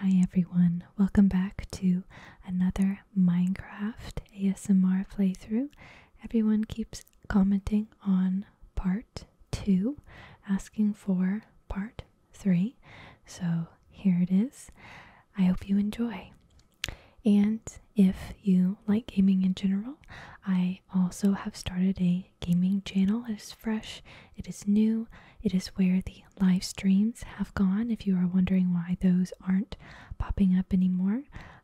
Hi everyone, welcome back to another Minecraft ASMR playthrough. Everyone keeps commenting on part 2, asking for part 3. So here it is. I hope you enjoy. And if you like gaming in general, I also have started a gaming channel. It is fresh, it is new, it is where the live streams have gone. If you are wondering why those aren't popping up anymore,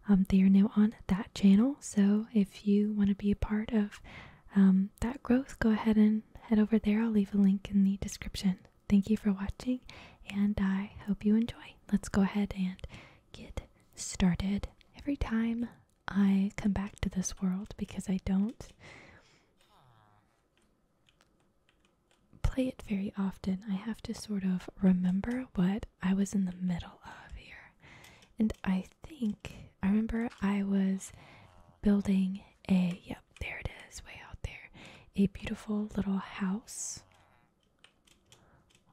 um, they are now on that channel. So if you want to be a part of um, that growth, go ahead and head over there. I'll leave a link in the description. Thank you for watching, and I hope you enjoy. Let's go ahead and get started. Every time I come back to this world because I don't play it very often, I have to sort of remember what I was in the middle of here. And I think I remember I was building a, yep, there it is, way out there, a beautiful little house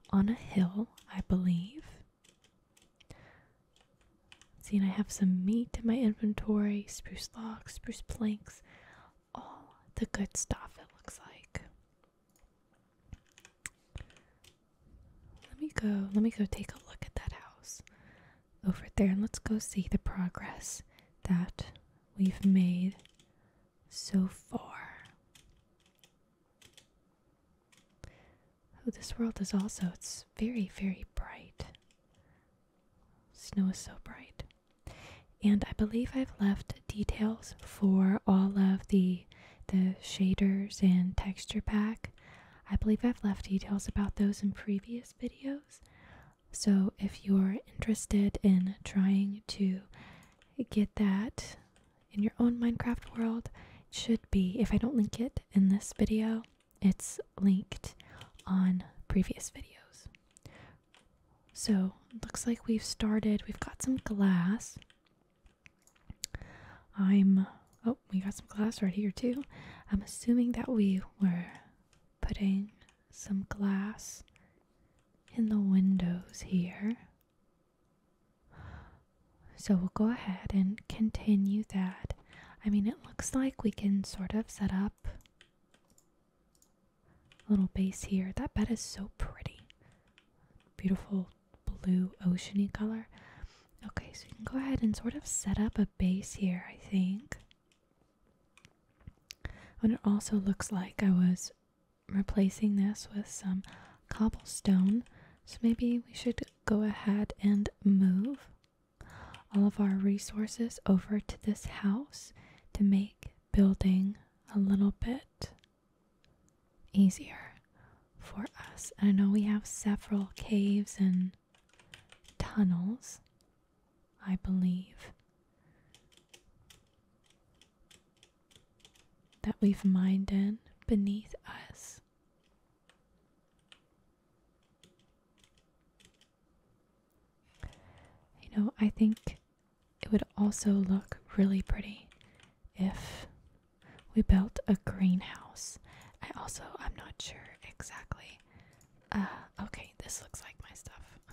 on a hill, I believe. See, and I have some meat in my inventory spruce logs, spruce planks. All the good stuff, it looks like. Let me go, let me go take a look at that house over there and let's go see the progress that we've made so far. Oh, this world is also, it's very, very bright. Snow is so bright. And I believe I've left details for all of the the shaders and texture pack. I believe I've left details about those in previous videos. So if you're interested in trying to get that in your own Minecraft world, it should be if I don't link it in this video, it's linked on previous videos. So, looks like we've started. We've got some glass. I'm oh, we got some glass right here too. I'm assuming that we were putting some glass in the windows here. So we'll go ahead and continue that. I mean, it looks like we can sort of set up little base here. That bed is so pretty. Beautiful blue oceany color. Okay, so you can go ahead and sort of set up a base here, I think. And it also looks like I was replacing this with some cobblestone. So maybe we should go ahead and move all of our resources over to this house to make building a little bit easier for us. I know we have several caves and tunnels, I believe, that we've mined in beneath us. You know, I think it would also look really pretty if we built a greenhouse. I also, I'm not sure exactly. Uh, okay, this looks like my stuff.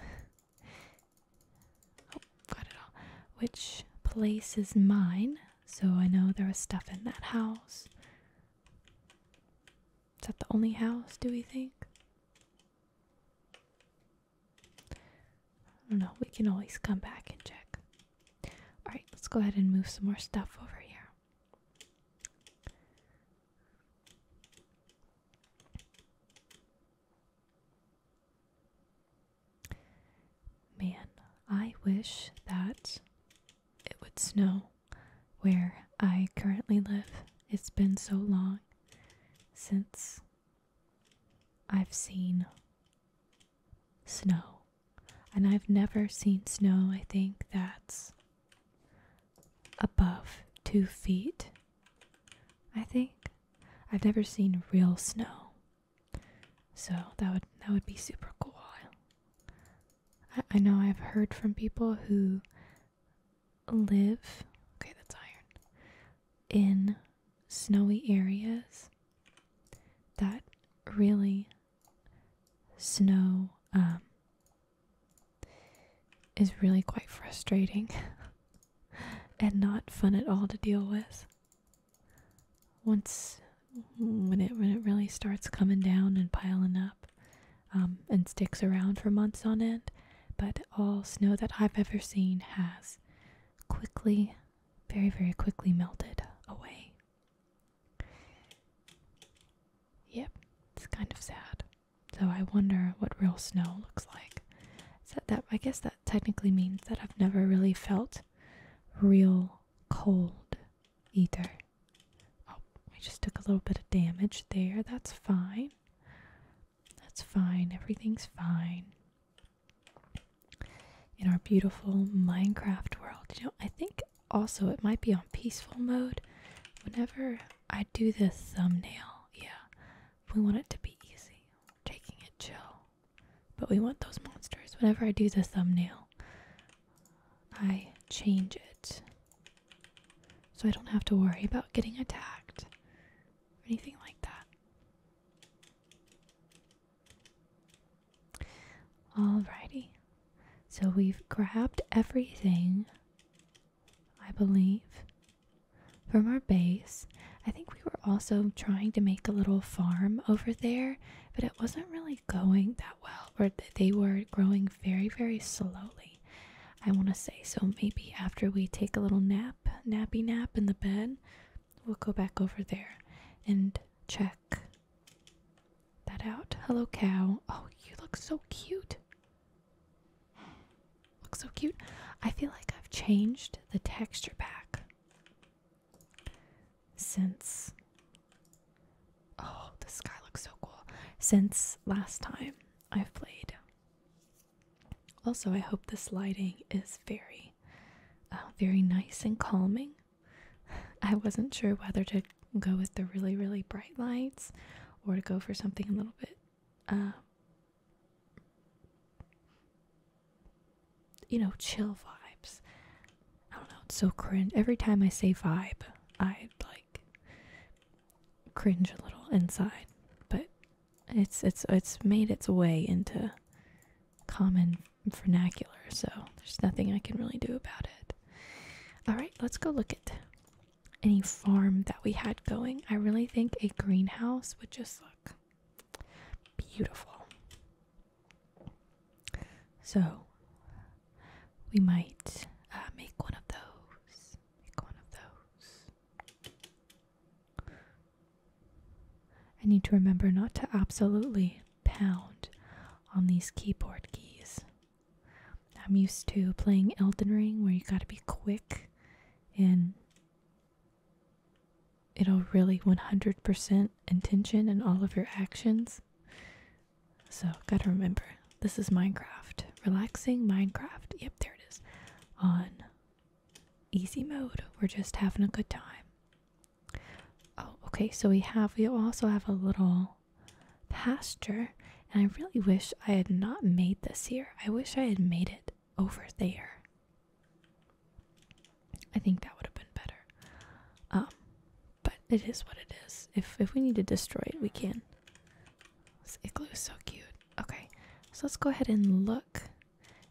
oh, got it all. Which place is mine? So I know there was stuff in that house. Is that the only house, do we think? I don't know, we can always come back and check. Alright, let's go ahead and move some more stuff over here. Man, I wish that it would snow where I currently live. It's been so long since I've seen snow. And I've never seen snow, I think, that's above two feet. I think. I've never seen real snow. So that would that would be super cool. I, I know I've heard from people who live okay that's iron in snowy areas that really snow um, is really quite frustrating and not fun at all to deal with once when it when it really starts coming down and piling up um, and sticks around for months on end, but all snow that I've ever seen has quickly, very, very quickly melted away. Yep, it's kind of sad. So I wonder what real snow looks like. So that I guess that technically means that I've never really felt real cold either. Oh, I just took a little bit of damage there. That's fine. That's fine. Everything's fine. In our beautiful Minecraft world. You know, I think also it might be on peaceful mode. Whenever I do the thumbnail, yeah, we want it to be easy. taking it chill. But we want those monsters. Whenever I do the thumbnail, I change it so I don't have to worry about getting attacked or anything like that. Alrighty. So we've grabbed everything, I believe, from our base. I think we were also trying to make a little farm over there, but it wasn't really going that well, or they were growing very, very slowly. I want to say. So maybe after we take a little nap, nappy nap in the bed, we'll go back over there and check that out. Hello, cow. Oh, you look so cute. Look so cute. I feel like I've changed the texture back since. Oh, the sky looks so cool. Since last time I've played. Also, I hope this lighting is very, uh, very nice and calming. I wasn't sure whether to go with the really, really bright lights or to go for something a little bit, um, you know, chill vibes. I don't know, it's so cringe. Every time I say vibe, I like cringe a little inside, but it's it's it's made its way into common vernacular, so there's nothing I can really do about it. All right, let's go look at any farm that we had going. I really think a greenhouse would just look beautiful. So we might uh, make one of those. Make one of those. I need to remember not to absolutely pound on these keyboard keys. I'm used to playing Elden Ring where you gotta be quick and it'll really 100% intention in all of your actions. So, gotta remember this is Minecraft. Relaxing Minecraft. Yep, there it is. On easy mode. We're just having a good time. Oh, okay. So we have, we also have a little pasture. And I really wish I had not made this here. I wish I had made it over there. I think that would have been better. Um, but it is what it is. If if we need to destroy it, we can. igloo is so cute. Okay, so let's go ahead and look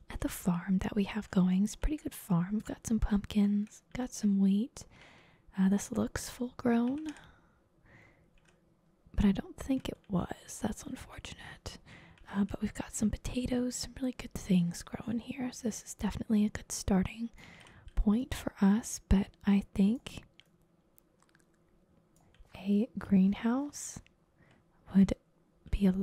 at the farm that we have going. It's pretty good farm. We've got some pumpkins, got some wheat. Uh, this looks full grown, but I don't think it was. That's unfortunate. Uh, but we've got some potatoes, some really good things growing here. So this is definitely a good starting point for us, but I think a greenhouse would be a,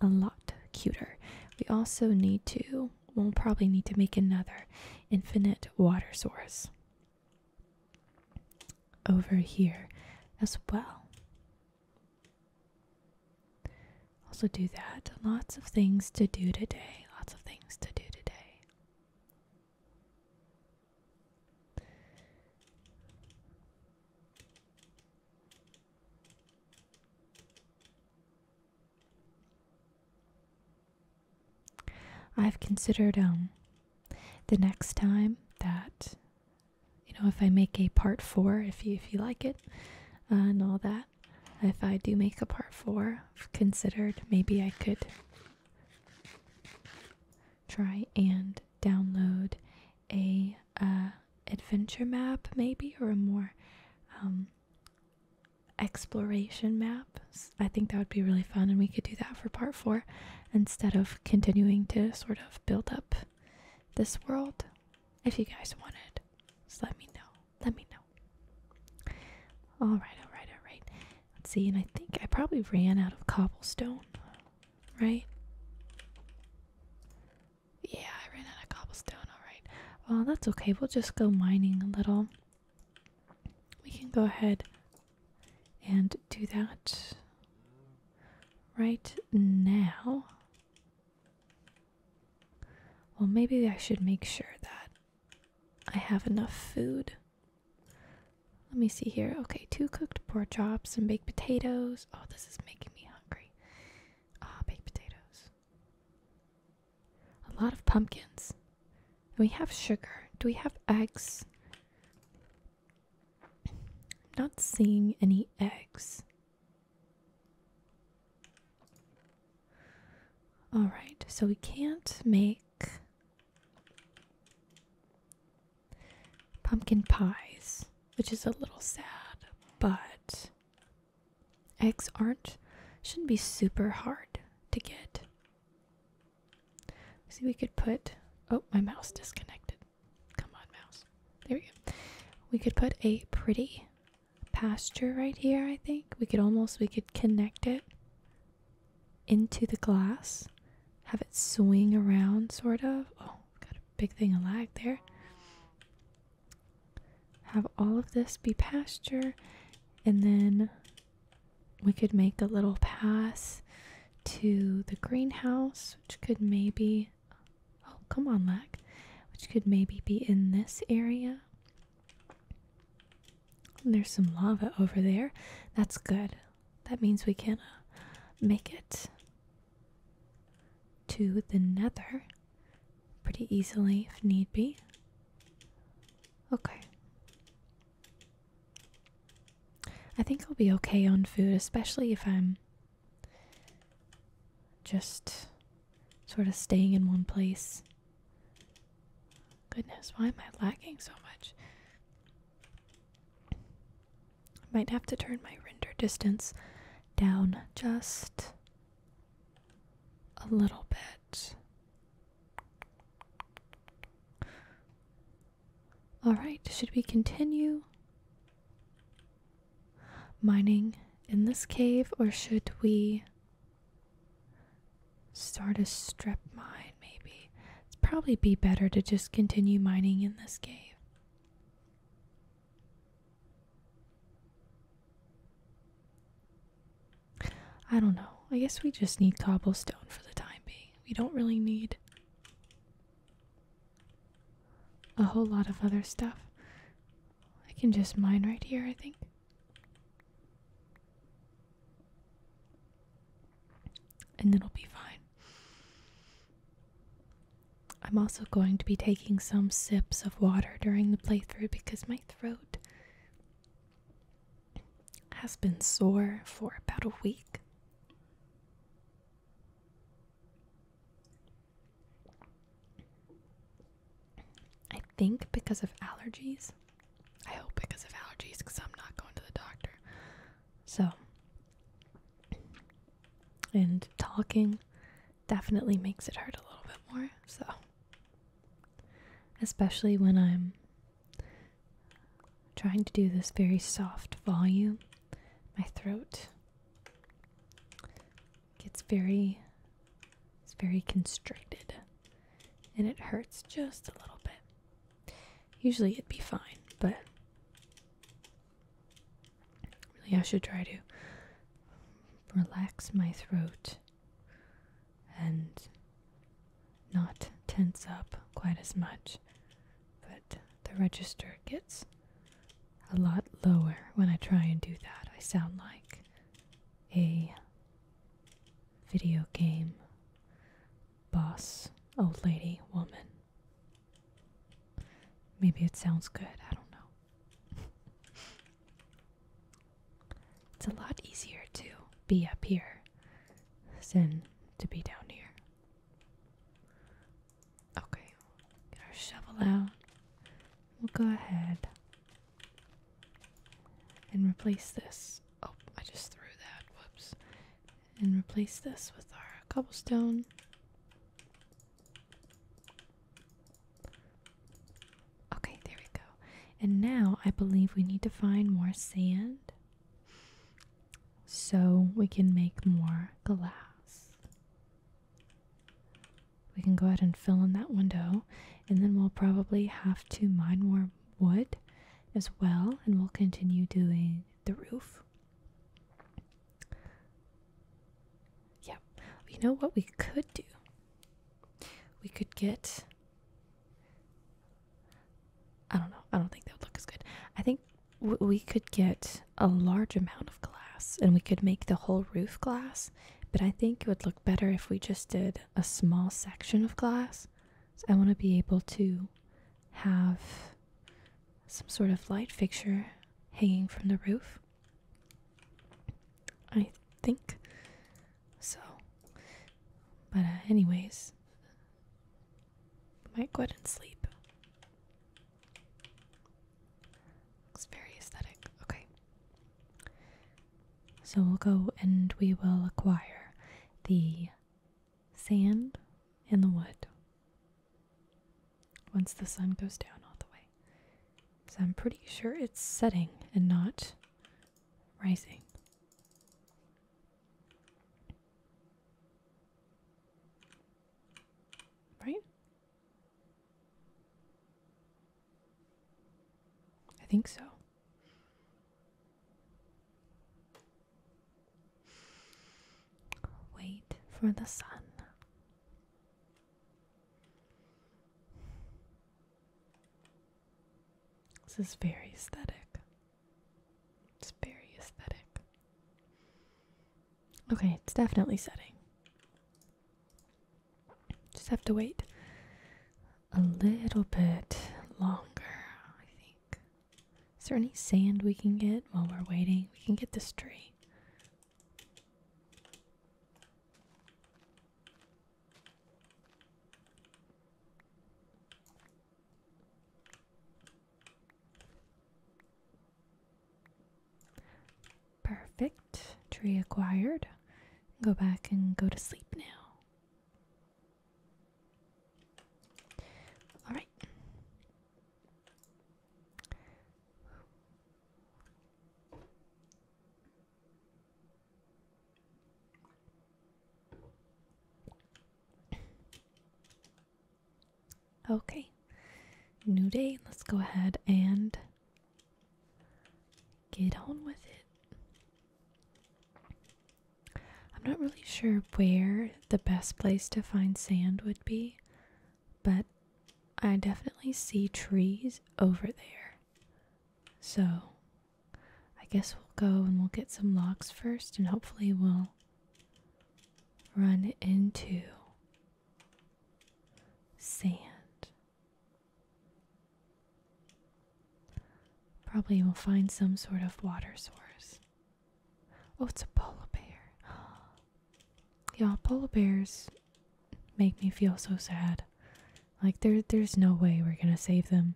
a lot cuter. We also need to, we'll probably need to make another infinite water source over here as well. Also, do that. Lots of things to do today. Lots of things to do today. I've considered um the next time that you know if I make a part four, if you if you like it uh, and all that, if I do make a part 4 considered maybe I could try and download a uh, adventure map, maybe, or a more um, exploration map. I think that would be really fun, and we could do that for part four instead of continuing to sort of build up this world. If you guys wanted, just let me know. Let me know. All right, all right, all right. Let's see, and I think I probably ran out of cobblestone, right? Yeah, I ran out of cobblestone, alright. Well, that's okay, we'll just go mining a little. We can go ahead and do that right now. Well, maybe I should make sure that I have enough food let me see here. Okay, two cooked pork chops, and baked potatoes. Oh, this is making me hungry. Ah, oh, baked potatoes. A lot of pumpkins. And we have sugar. Do we have eggs? I'm not seeing any eggs. Alright, so we can't make pumpkin pies, which is a little sad, but eggs aren't shouldn't be super hard to get. See, we could put oh, my mouse disconnected. Come on, mouse. There we go. We could put a pretty pasture right here, I think. We could almost we could connect it into the glass, have it swing around, sort of. Oh, got a big thing of lag there. Have all of this be pasture, and then we could make a little pass to the greenhouse, which could maybe. Oh, come on, lag. Which could maybe be in this area. there's some lava over there. That's good. That means we can uh, make it to the nether pretty easily if need be. Okay. I think I'll be okay on food, especially if I'm just sort of staying in one place. Goodness, why am I lagging so much? I Might have to turn my render distance down just a little bit. Alright, should we continue mining in this cave or should we start a strip mine? maybe. It's probably be better to just continue mining in this cave. I don't know. I guess we just need cobblestone for the time being. We don't really need a whole lot of other stuff. I can just mine right here, I think and it'll be fine. I'm also going to be taking some sips of water during the playthrough because my throat has been sore for about a week. I think because of allergies. I hope because of allergies because I'm not going to the doctor. So, and talking definitely makes it hurt a little bit more. So, especially when I'm trying to do this very soft volume, my throat gets very it's very constricted and it hurts just a little bit. Usually it'd be fine, but really I should try to relax my throat and not tense up quite as much. But the register gets a lot lower when I try and do that. I sound like a video game boss, old lady, woman. Maybe it sounds good, I don't know. it's a lot easier to be up here than to be down here. Okay, get our shovel out. We'll go ahead and replace this. Oh, I just threw that. Whoops and replace this with our cobblestone. Okay, there we go. And now I believe we need to find more sand so we can make more glass. We can go ahead and fill in that window, and then we'll probably have to mine more wood as well, and we'll continue doing the roof. Yeah, you know what we could do? We could get. I don't know. I don't think that would look as good. I think we could get a large amount of glass and we could make the whole roof glass, but I think it would look better if we just did a small section of glass. I want to be able to have some sort of light fixture hanging from the roof. I think so. But, uh, anyways, might go ahead and sleep. Looks very aesthetic. Okay. So we'll go and we will acquire the sand, and the wood once the sun goes down all the way. So I'm pretty sure it's setting and not rising. Right? I think so. Wait for the sun. This is very aesthetic. It's very aesthetic. Okay, it's definitely setting. Just have to wait a little bit longer, I think. Is there any sand we can get while we're waiting? We can get this tree. Perfect. Tree acquired. Go back and go to sleep now. All right. Okay, new day. Let's go ahead and get on with it. I'm not really sure where the best place to find sand would be, but I definitely see trees over there. So I guess we'll go and we'll get some logs first, and hopefully, we'll run into sand. Probably we'll find some sort of water source. Oh, it's a polar bear. yeah, polar bears make me feel so sad. Like there there's no way we're gonna save them.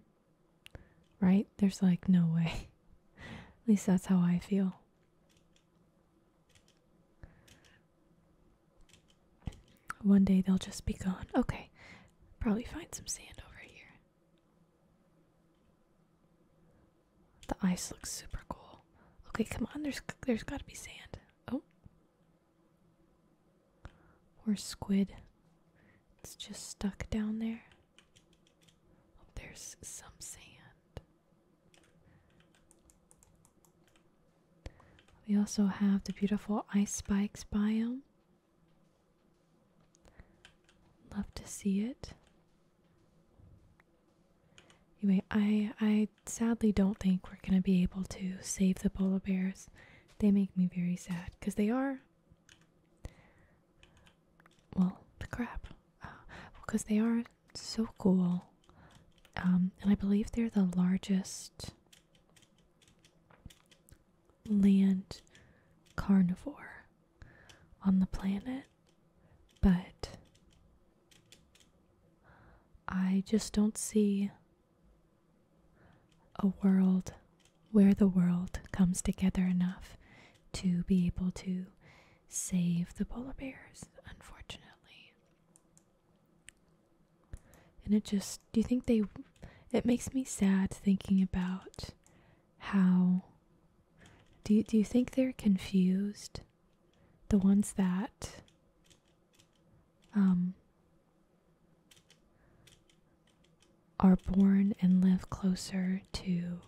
Right? There's like no way. At least that's how I feel. One day they'll just be gone. Okay. Probably find some sand over here. The ice looks super cool. Okay, come on. There's there's got to be sand. Oh. Or squid. It's just stuck down there. Oh, there's some sand. We also have the beautiful ice spikes biome. Love to see it. Anyway, I I sadly don't think we're gonna be able to save the polar bears. They make me very sad because they are. Well, the crap, because uh, they are so cool, um, and I believe they're the largest land carnivore on the planet, but I just don't see a world where the world comes together enough to be able to save the polar bears, unfortunately. And it just, do you think they, it makes me sad thinking about how do you, do you think they're confused? The ones that um, are born and live closer to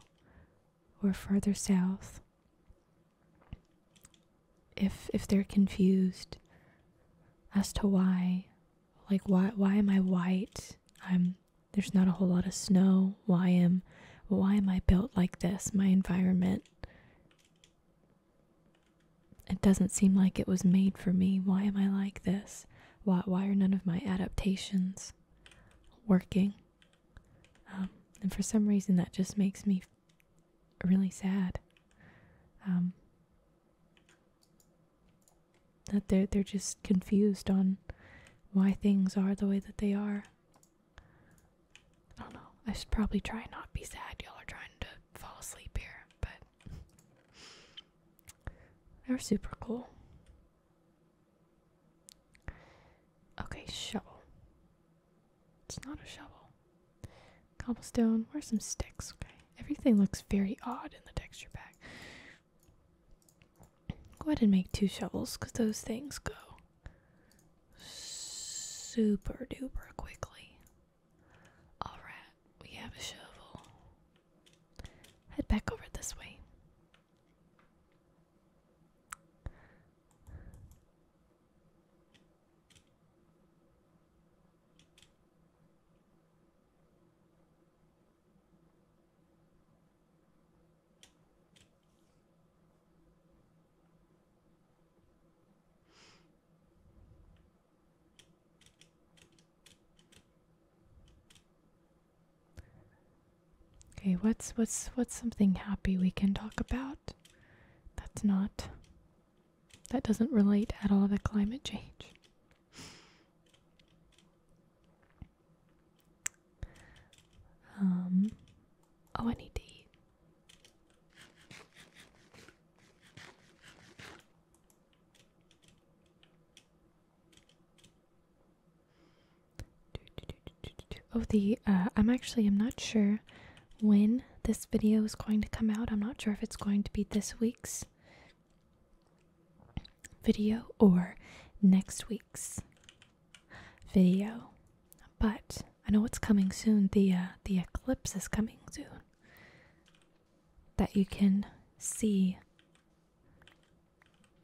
or further south. If if they're confused as to why, like why why am I white there's not a whole lot of snow. Why am why am I built like this? My environment it doesn't seem like it was made for me. Why am I like this? Why why are none of my adaptations working? Um, and for some reason that just makes me really sad. Um, that they're they're just confused on why things are the way that they are. I don't know. I should probably try not be sad. Y'all are trying to fall asleep here, but they're super cool. Okay, shovel. It's not a shovel. Cobblestone. Where's some sticks? Okay. Everything looks very odd in the texture pack. Go ahead and make two shovels because those things go super duper quickly. Alright, we have a shovel. Head back over this way. Okay, what's what's what's something happy we can talk about? That's not that doesn't relate at all to climate change. Um, oh, I need to eat. Oh, the uh, I'm actually I'm not sure when this video is going to come out. I'm not sure if it's going to be this week's video or next week's video. But I know what's coming soon. The uh, the eclipse is coming soon. That you can see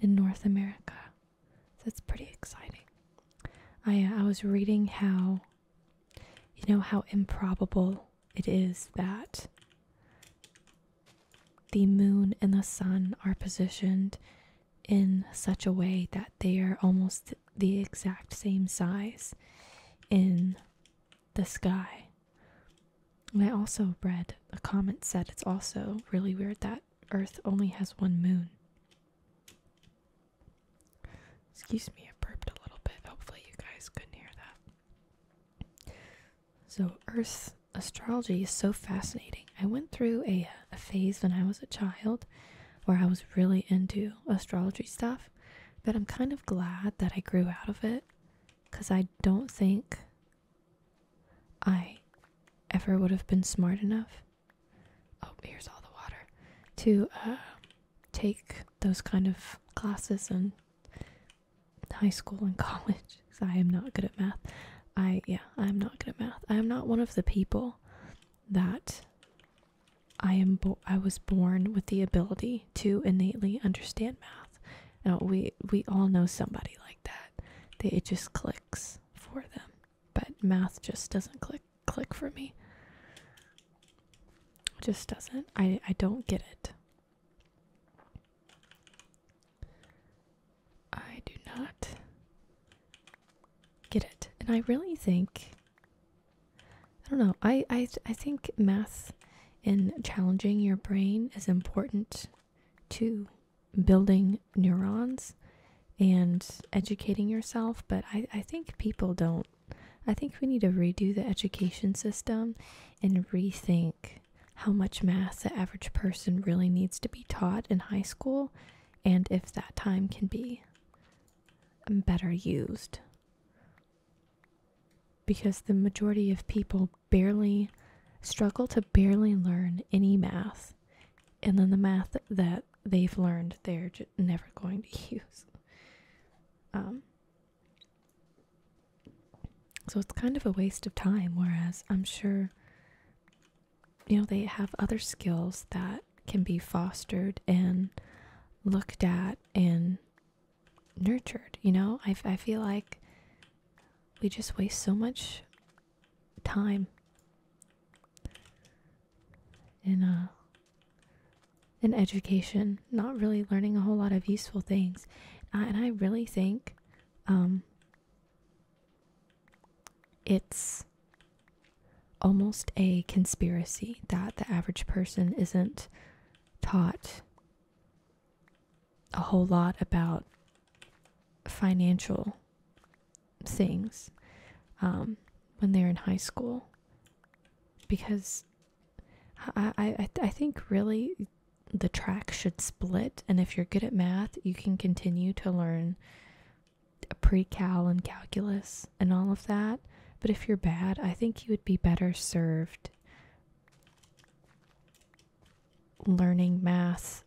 in North America. That's pretty exciting. I uh, I was reading how you know how improbable it is that the moon and the sun are positioned in such a way that they are almost the exact same size in the sky. And I also read a comment said it's also really weird that Earth only has one moon. Excuse me, I burped a little bit. Hopefully, you guys couldn't hear that. So, Earth astrology is so fascinating. I went through a, a phase when I was a child where I was really into astrology stuff, but I'm kind of glad that I grew out of it because I don't think I ever would have been smart enough. Oh, here's all the water to uh, take those kind of classes in high school and college because I am not good at math. I, yeah, I'm not good at math. I am not one of the people that I am, bo I was born with the ability to innately understand math. You know, we, we all know somebody like that. They, it just clicks for them, but math just doesn't click, click for me. just doesn't. I, I don't get it. I do not get it. And I really think I don't know. I I think math in challenging your brain is important to building neurons and educating yourself, but I I think people don't I think we need to redo the education system and rethink how much math the average person really needs to be taught in high school and if that time can be better used. Because the majority of people barely struggle to barely learn any math, and then the math that they've learned they're never going to use. Um, so it's kind of a waste of time, whereas I'm sure you know they have other skills that can be fostered and looked at and nurtured you know i, I feel like we just waste so much time in uh in education not really learning a whole lot of useful things and i really think um, it's almost a conspiracy that the average person isn't taught a whole lot about financial things um, when they're in high school because I, I think really the track should split and if you're good at math you can continue to learn pre-cal and calculus and all of that but if you're bad i think you would be better served learning math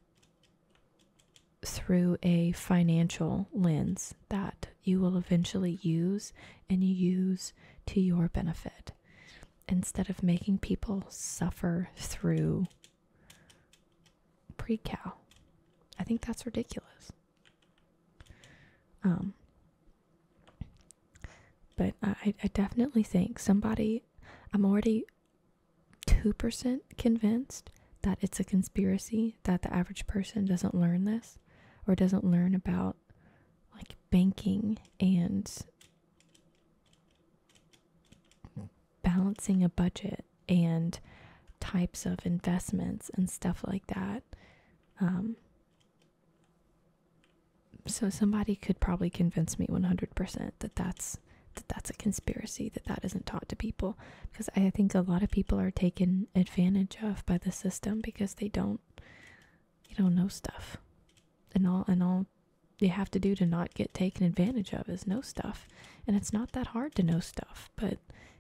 through a financial lens that you will eventually use and use to your benefit instead of making people suffer through Pre-cow. I think that's ridiculous. Um, but I, I definitely think somebody, I'm already 2% convinced that it's a conspiracy that the average person doesn't learn this or doesn't learn about like banking and balancing a budget and types of investments and stuff like that. Um, so somebody could probably convince me 100% that that's that that's a conspiracy that that isn't taught to people because i think a lot of people are taken advantage of by the system because they don't you don't know stuff and all and all you have to do to not get taken advantage of is know stuff and it's not that hard to know stuff but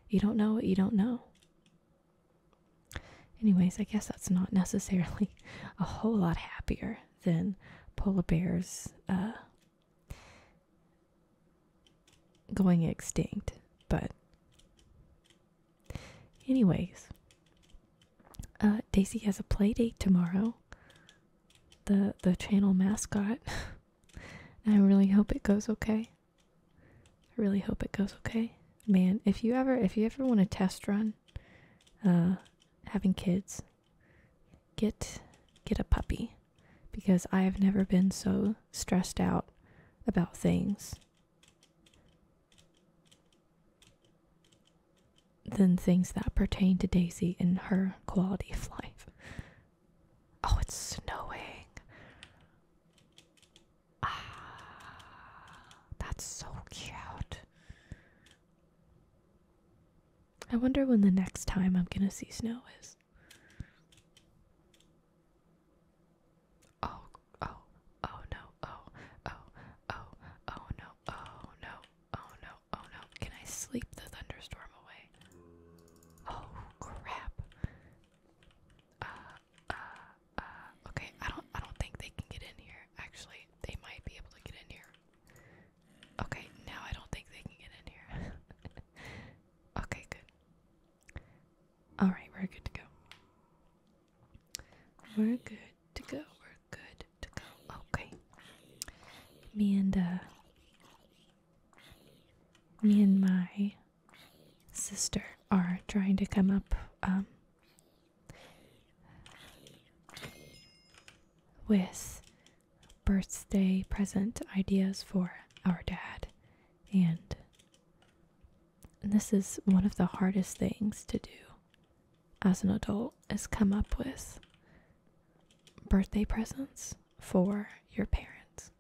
you don't know what you don't know anyways i guess that's not necessarily a whole lot happier than polar bears uh, going extinct but anyways uh, daisy has a play date tomorrow the the channel mascot. I really hope it goes okay. I really hope it goes okay. Man, if you ever if you ever want a test run uh having kids, get get a puppy because I have never been so stressed out about things than things that pertain to Daisy and her quality of life. Oh, it's snowing. Ah, that's so cute. I wonder when the next time I'm gonna see snow is. Oh, oh, oh no, oh, oh, oh, oh no, oh no, oh no, oh no, can I sleep the thunderstorm away? Oh crap. Uh, uh, uh, okay, I don't I don't think they can get in here. Actually, they might be able to get in here. Okay, now I don't think they can get in here. okay, good. Alright, we're good to go. We're good to go. We're good good Okay. Me and uh, me and my sister are trying to come up um, with birthday present ideas for our dad and this is one of the hardest things to do as an adult is come up with birthday presents for your parents.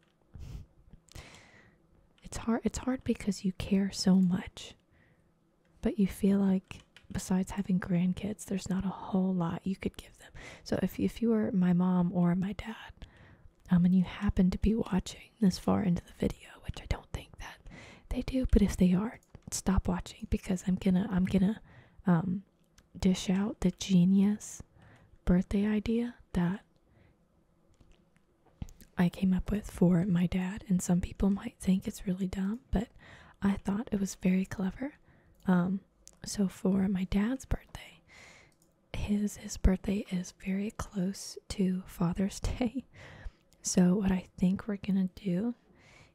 It's hard it's hard because you care so much. But you feel like besides having grandkids, there's not a whole lot you could give them. So if if you were my mom or my dad, um and you happen to be watching this far into the video, which I don't think that they do, but if they are, stop watching because I'm gonna I'm gonna um dish out the genius birthday idea that I came up with for my dad, and some people might think it's really dumb, but I thought it was very clever. Um, so for my dad's birthday, his his birthday is very close to Father's Day. So what I think we're gonna do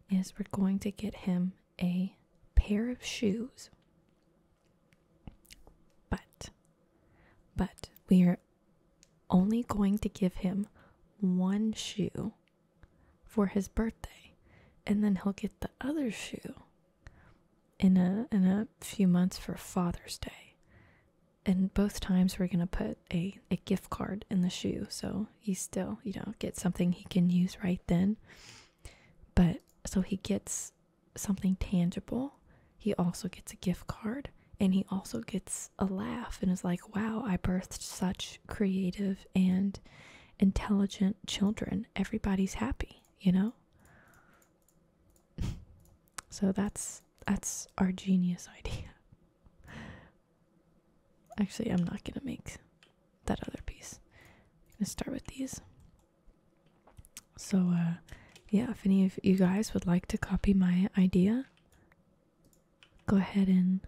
is we're going to get him a pair of shoes. But, but we are only going to give him one shoe for his birthday, and then he'll get the other shoe in a in a few months for Father's Day. And both times we're gonna put a, a gift card in the shoe, so he still you know gets something he can use right then. But so he gets something tangible. He also gets a gift card and he also gets a laugh and is like, wow, I birthed such creative and intelligent children. Everybody's happy, you know? so that's that's our genius idea. Actually, I'm not going to make that other piece. I'm gonna start with these. So uh yeah, if any of you guys would like to copy my idea, go ahead and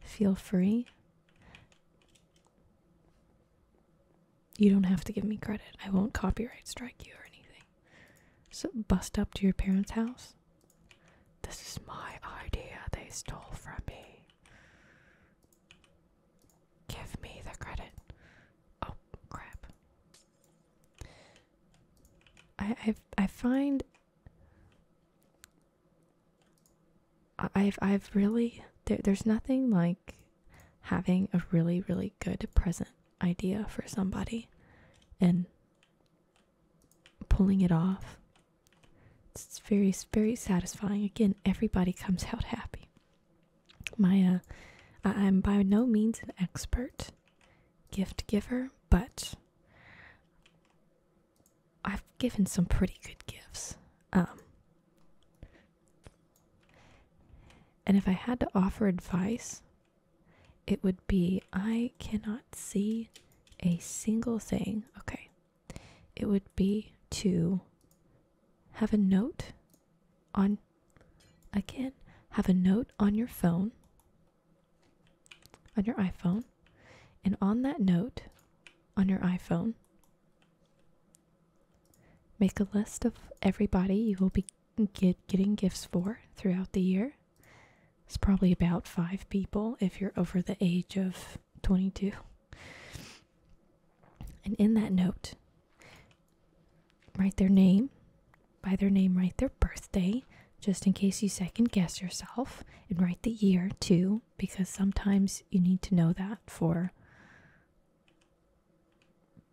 feel free. You don't have to give me credit. I won't copyright strike you or anything. So bust up to your parents' house. This is my idea they stole from me. Give me the credit. Oh crap. I i find I've I've really there's nothing like having a really really good present idea for somebody and pulling it off. It's very very satisfying. Again, everybody comes out happy. Maya, uh, I I'm by no means an expert gift giver, but I've given some pretty good gifts. Um, and if I had to offer advice, it would be I cannot see a single thing. Okay, it would be to have a note on, again, have a note on your phone, on your iPhone, and on that note on your iPhone, make a list of everybody you will be getting gifts for throughout the year. It's probably about five people if you're over the age of 22. And in that note, write their name, by their name, write their birthday, just in case you second guess yourself, and write the year too, because sometimes you need to know that for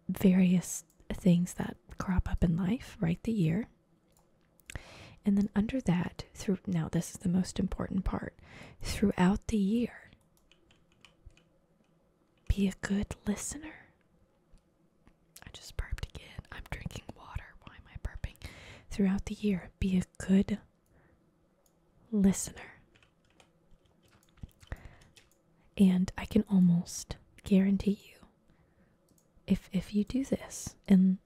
various things that crop up in life. Write the year. And then under that, through now, this is the most important part throughout the year, be a good listener. I just burped again. I'm drinking water. Why am I burping? Throughout the year, be a good listener. And I can almost guarantee you if if you do this and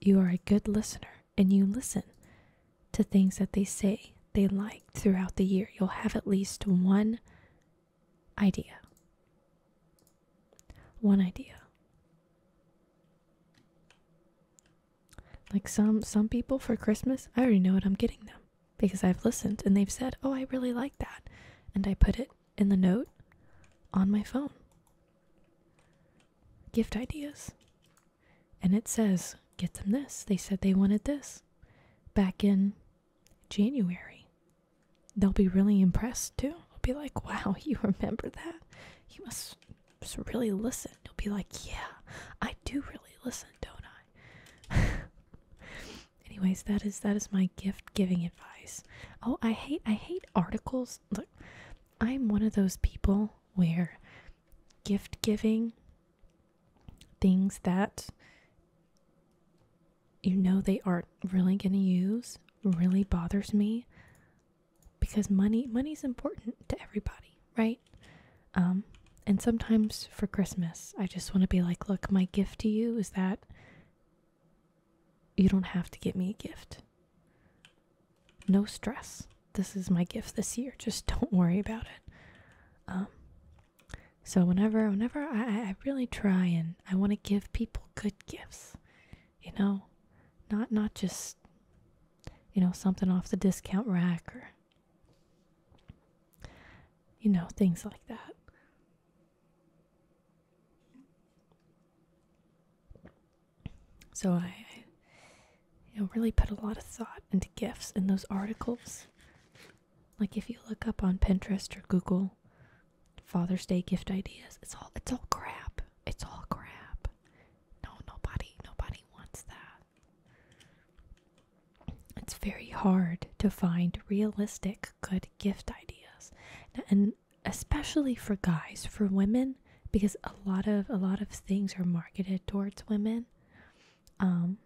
you are a good listener, and you listen to things that they say they like throughout the year. You'll have at least one idea. One idea. Like some some people for Christmas, I already know what I'm getting them because I've listened and they've said, "Oh, I really like that." And I put it in the note on my phone. Gift ideas and it says, get them this. They said they wanted this back in January. They'll be really impressed too. they will be like, wow, you remember that? You must just really listen. they will be like, yeah, I do really listen, don't I? Anyways, that is that is my gift giving advice. Oh, I hate I hate articles. Look, I'm one of those people where gift giving things that you know they aren't really going to use really bothers me because money money is important to everybody right um and sometimes for christmas i just want to be like look my gift to you is that you don't have to get me a gift no stress this is my gift this year. Just don't worry about it. Um, so whenever, whenever I, I really try and I want to give people good gifts, you know, not not just you know something off the discount rack or you know things like that. So I, you know, really put a lot of thought into gifts in those articles. Like if you look up on Pinterest or Google Father's Day gift ideas, it's all it's all crap. It's all crap. No, nobody nobody wants that. It's very hard to find realistic good gift ideas. And especially for guys, for women because a lot of a lot of things are marketed towards women um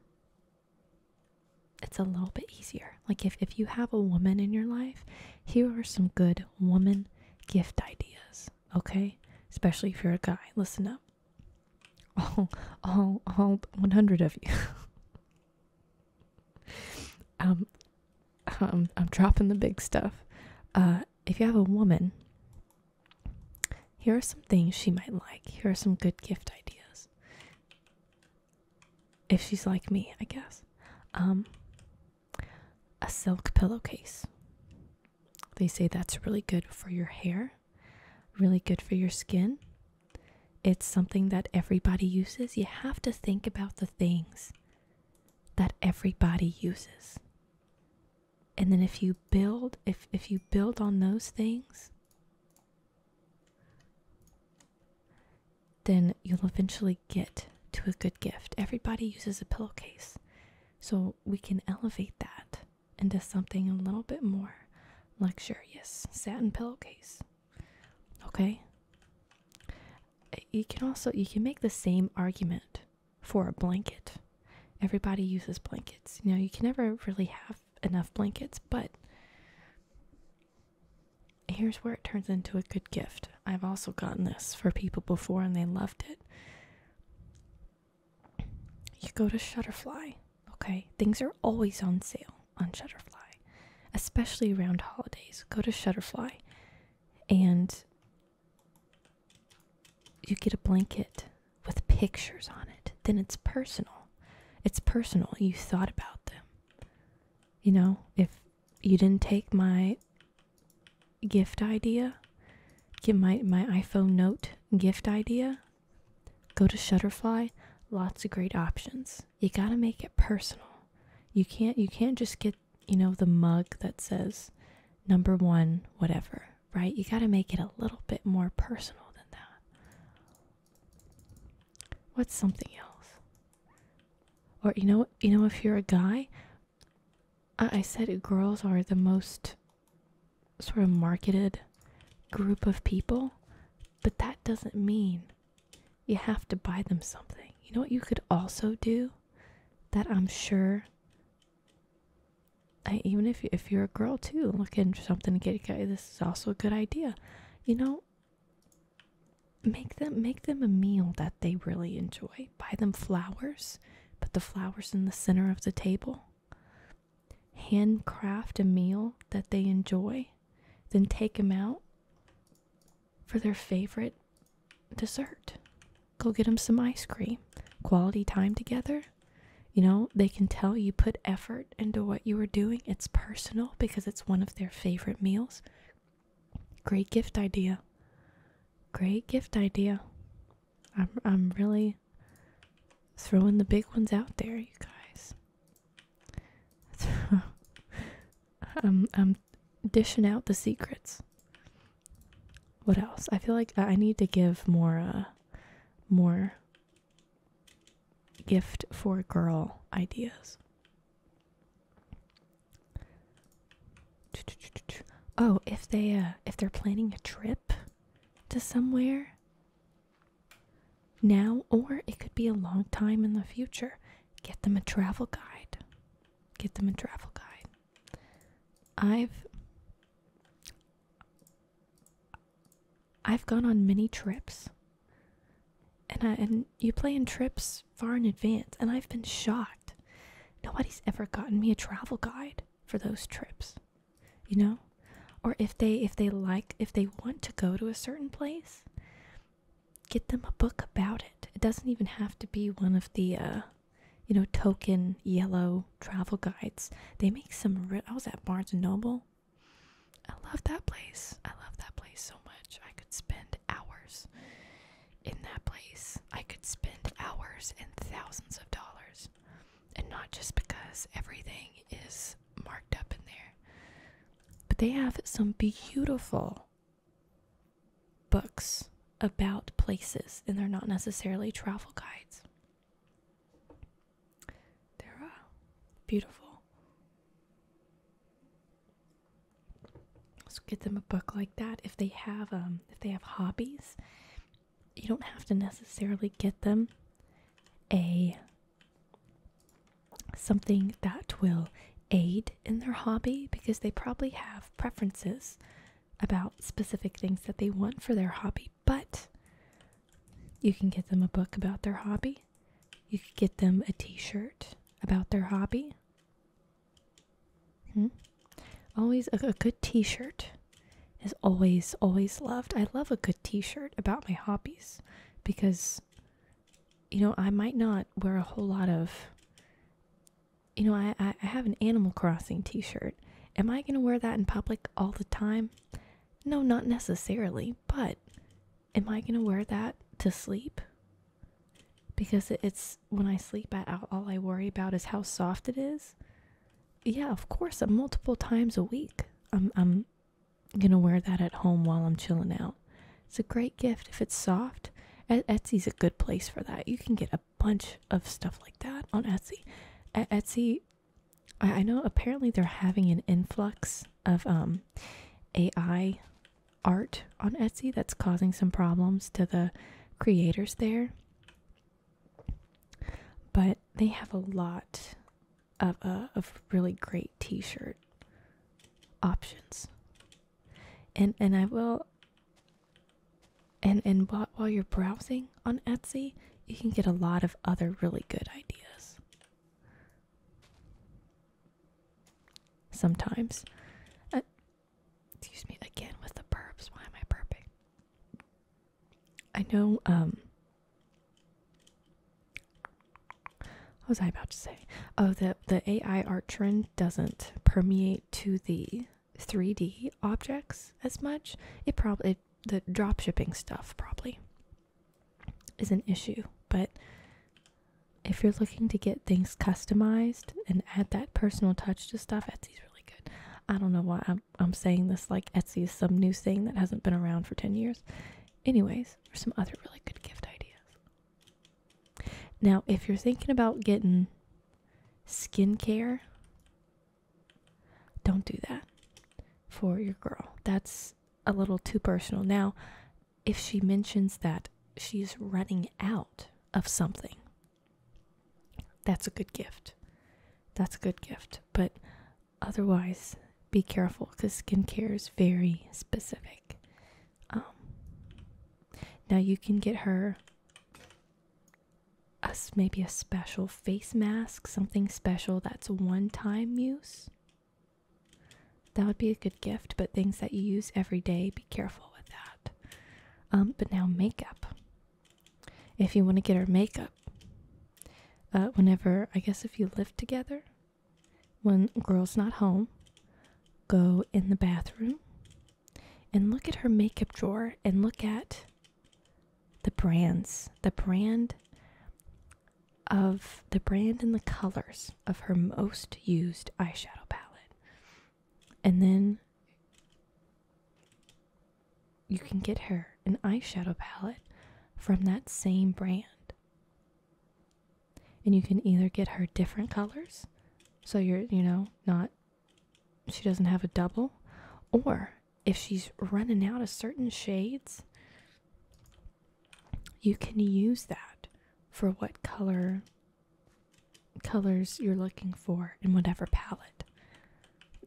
it's a little bit easier. Like if if you have a woman in your life, here are some good woman gift ideas, okay? Especially if you're a guy. Listen up. All all all 100 of you. um um I'm dropping the big stuff. Uh if you have a woman here are some things she might like. Here are some good gift ideas. If she's like me, I guess. Um, a silk pillowcase. They say that's really good for your hair, really good for your skin. It's something that everybody uses. You have to think about the things that everybody uses and then if you build if if you build on those things then you'll eventually get to a good gift everybody uses a pillowcase so we can elevate that into something a little bit more luxurious satin pillowcase okay you can also you can make the same argument for a blanket everybody uses blankets. You know, you can never really have enough blankets, but here's where it turns into a good gift. I've also gotten this for people before and they loved it. You go to Shutterfly, okay? Things are always on sale on Shutterfly, especially around holidays. Go to Shutterfly and you get a blanket with pictures on it, then it's personal. It's personal. You thought about them. You know, if you didn't take my gift idea, get my my iPhone note gift idea, go to Shutterfly, lots of great options. You got to make it personal. You can't you can't just get, you know, the mug that says number 1 whatever right? You got to make it a little bit more personal than that. What's something else? Or you know, you know, if you're a guy, I, I said girls are the most sort of marketed group of people, but that doesn't mean you have to buy them something. You know what you could also do that I'm sure even if you, if you're a girl too looking for something to get a guy, this is also a good idea. You know, make them make them a meal that they really enjoy. Buy them flowers, put the flowers in the center of the table. Handcraft a meal that they enjoy, then take them out for their favorite dessert. Go get them some ice cream. Quality time together. You know, they can tell you put effort into what you are doing. It's personal because it's one of their favorite meals. Great gift idea. Great gift idea. I'm I'm really throwing the big ones out there, you guys. I'm I'm dishing out the secrets. What else? I feel like I need to give more uh, more gift for girl ideas. Oh, if they uh, if they're planning a trip to somewhere now or it could be a long time in the future, get them a travel guide. Get them a travel guide. I've I've gone on many trips. And I and you plan trips far in advance and I've been shocked. Nobody's ever gotten me a travel guide for those trips. You know? Or if they if they like if they want to go to a certain place, get them a book about it. It doesn't even have to be one of the uh you know token yellow travel guides. They make some. I was at Barnes and Noble. I love that place. I love that place so much. I could spend hours in that place. I could spend hours and thousands of dollars. And not just because everything is marked up in there. But they have some beautiful books about places, and they're not necessarily travel guides. They're uh, beautiful. So get them a book like that if they have um if they have hobbies. You don't have to necessarily get them a something that will aid in their hobby because they probably have preferences about specific things that they want for their hobby but you can get them a book about their hobby. You could get them a t shirt about their hobby. Hmm? Always a, a good t shirt is always, always loved. I love a good t shirt about my hobbies because, you know, I might not wear a whole lot of. You know, I, I have an Animal Crossing t shirt. Am I going to wear that in public all the time? No, not necessarily, but am I going to wear that to sleep? Because it's when I sleep out, all I worry about is how soft it is. Yeah, of course, uh, multiple times a week. I'm, I'm going to wear that at home while I'm chilling out. It's a great gift if it's soft. Etsy's a good place for that. You can get a bunch of stuff like that on Etsy. Etsy I, I know apparently they're having an influx of um AI art on Etsy that's causing some problems to the creators there. But they have a lot of uh, of really great t-shirt options. And and I will and and while, while you're browsing, on Etsy, you can get a lot of other really good ideas. Sometimes, uh, excuse me again with the burps. Why am I burping? I know. Um, what was I about to say? Oh, the the AI art doesn't permeate to the 3D objects as much. It probably the drop shipping stuff probably is an issue, but if you're looking to get things customized and add that personal touch to stuff, Etsy's really good. I don't know why I'm, I'm saying this like Etsy is some new thing that hasn't been around for 10 years. Anyways, there's some other really good gift ideas. Now, if you're thinking about getting skincare, don't do that for your girl. That's a little too personal. Now, if she mentions that she's running out of something, that's a good gift. That's a good gift. But otherwise, be careful because skincare is very specific. Um, now, you can get her a, maybe a special face mask, something special that's one time use. That would be a good gift, but things that you use every day, be careful with that. Um, but now, makeup. If you want to get her makeup, uh, whenever, I guess if you live together, when girl's not home, go in the bathroom and look at her makeup drawer and look at the brands, the brand of the brand and the colors of her most used eyeshadow palette. And then you can get her an eyeshadow palette from that same brand. And you can either get her different colors, so you're, you know, not, she doesn't have a double, or if she's running out of certain shades, you can use that for what color colors you're looking for in whatever palette.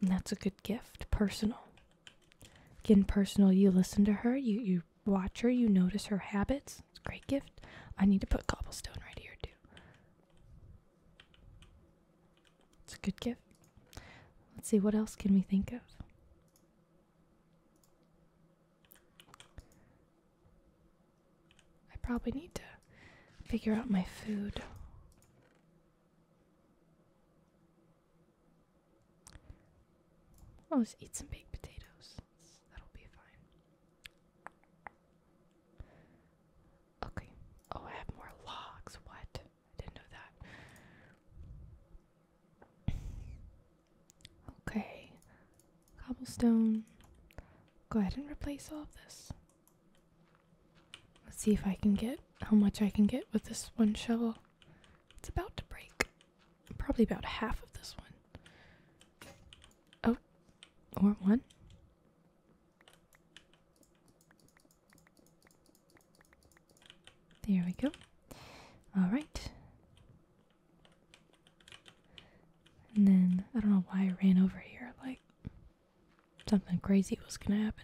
And that's a good gift, personal. Again, personal, you listen to her, you you watch her, you notice her habits. It's a great gift. I need to put cobblestone right here too. It's a good gift. Let's see, what else can we think of? I probably need to figure out my food. I'll just eat some baked potatoes. That'll be fine. Okay. Oh, I have more logs. What? didn't know that. Okay, cobblestone. Go ahead and replace all of this. Let's see if I can get how much I can get with this one shovel. It's about to break. Probably about half of this one. Oh, or one. There we go. All right. And then I don't know why I ran over here. Like something crazy was going to happen.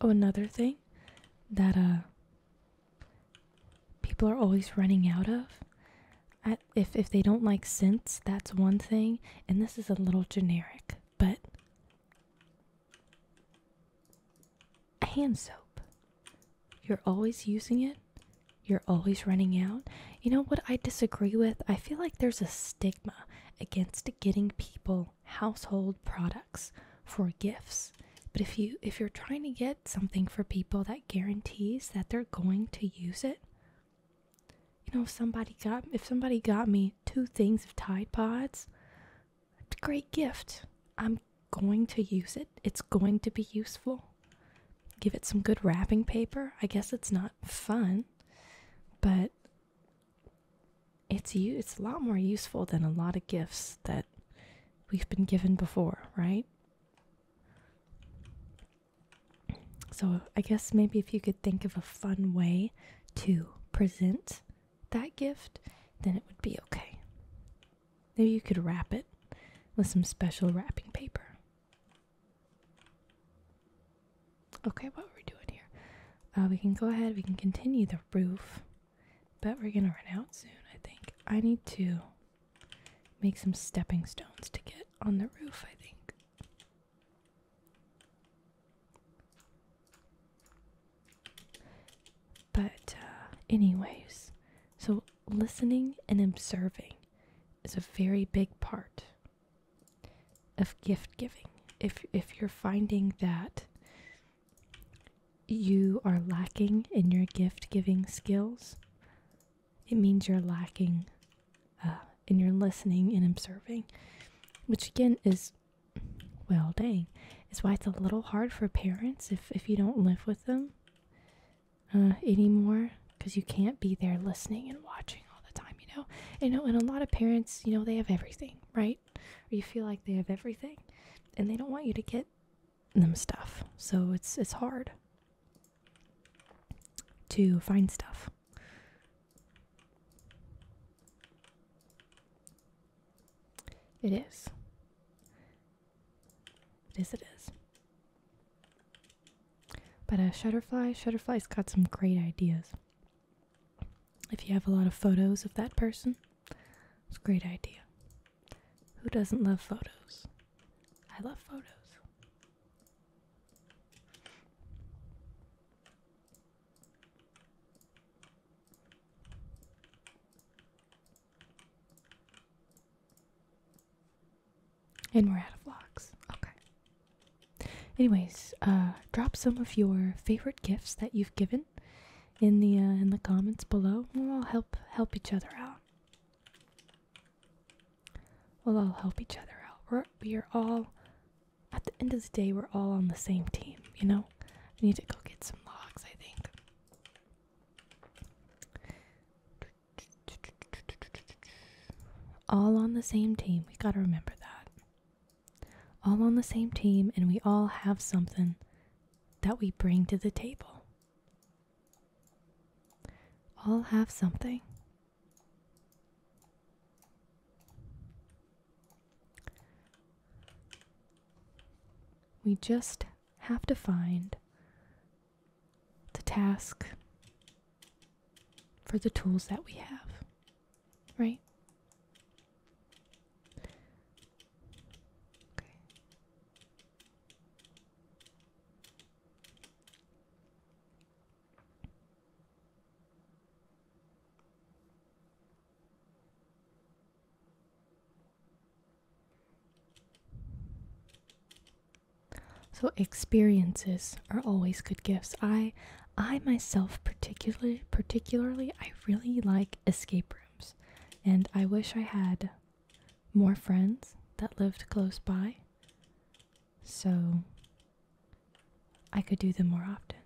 Oh, another thing that uh people are always running out of. if if they don't like scents, that's one thing, and this is a little generic but hand soap. You're always using it. You're always running out. You know what I disagree with? I feel like there's a stigma against getting people household products for gifts. But if you if you're trying to get something for people that guarantees that they're going to use it, you know, if somebody got if somebody got me two things of Tide Pods, it's a great gift. I'm going to use it. It's going to be useful. Give it some good wrapping paper. I guess it's not fun, but it's you it's a lot more useful than a lot of gifts that we've been given before, right? So, I guess maybe if you could think of a fun way to present that gift, then it would be okay. Maybe you could wrap it with some special wrapping paper. Okay, what are we doing here? Uh, we can go ahead, we can continue the roof, but we're gonna run out soon, I think. I need to make some stepping stones to get on the roof, I think. But, uh, anyways, so listening and observing is a very big part of gift giving. If, if you're finding that you are lacking in your gift giving skills, it means you're lacking uh, and you're listening and observing, which again is, well, dang, is why it's a little hard for parents if if you don't live with them uh, anymore, because you can't be there listening and watching all the time, you know. You know, and a lot of parents, you know, they have everything, right? you feel like they have everything, and they don't want you to get them stuff, so it's it's hard to find stuff it is. It is, it is. But uh, Shutterfly, Shutterfly's got some great ideas. If you have a lot of photos of that person, it's a great idea. Who doesn't love photos? I love photos. And we're out of vlogs. Okay. Anyways, uh, drop some of your favorite gifts that you've given in the uh, in the comments below. We'll all help help each other out. We'll all help each other out. We're we are all at the end of the day, we're all on the same team, you know? I need to go get some logs, I think. All on the same team. We gotta remember that. All on the same team, and we all have something that we bring to the table. All have something we just have to find the task for the tools that we have, right? So experiences are always good gifts. I I myself particularly particularly I really like escape rooms and I wish I had more friends that lived close by so I could do them more often.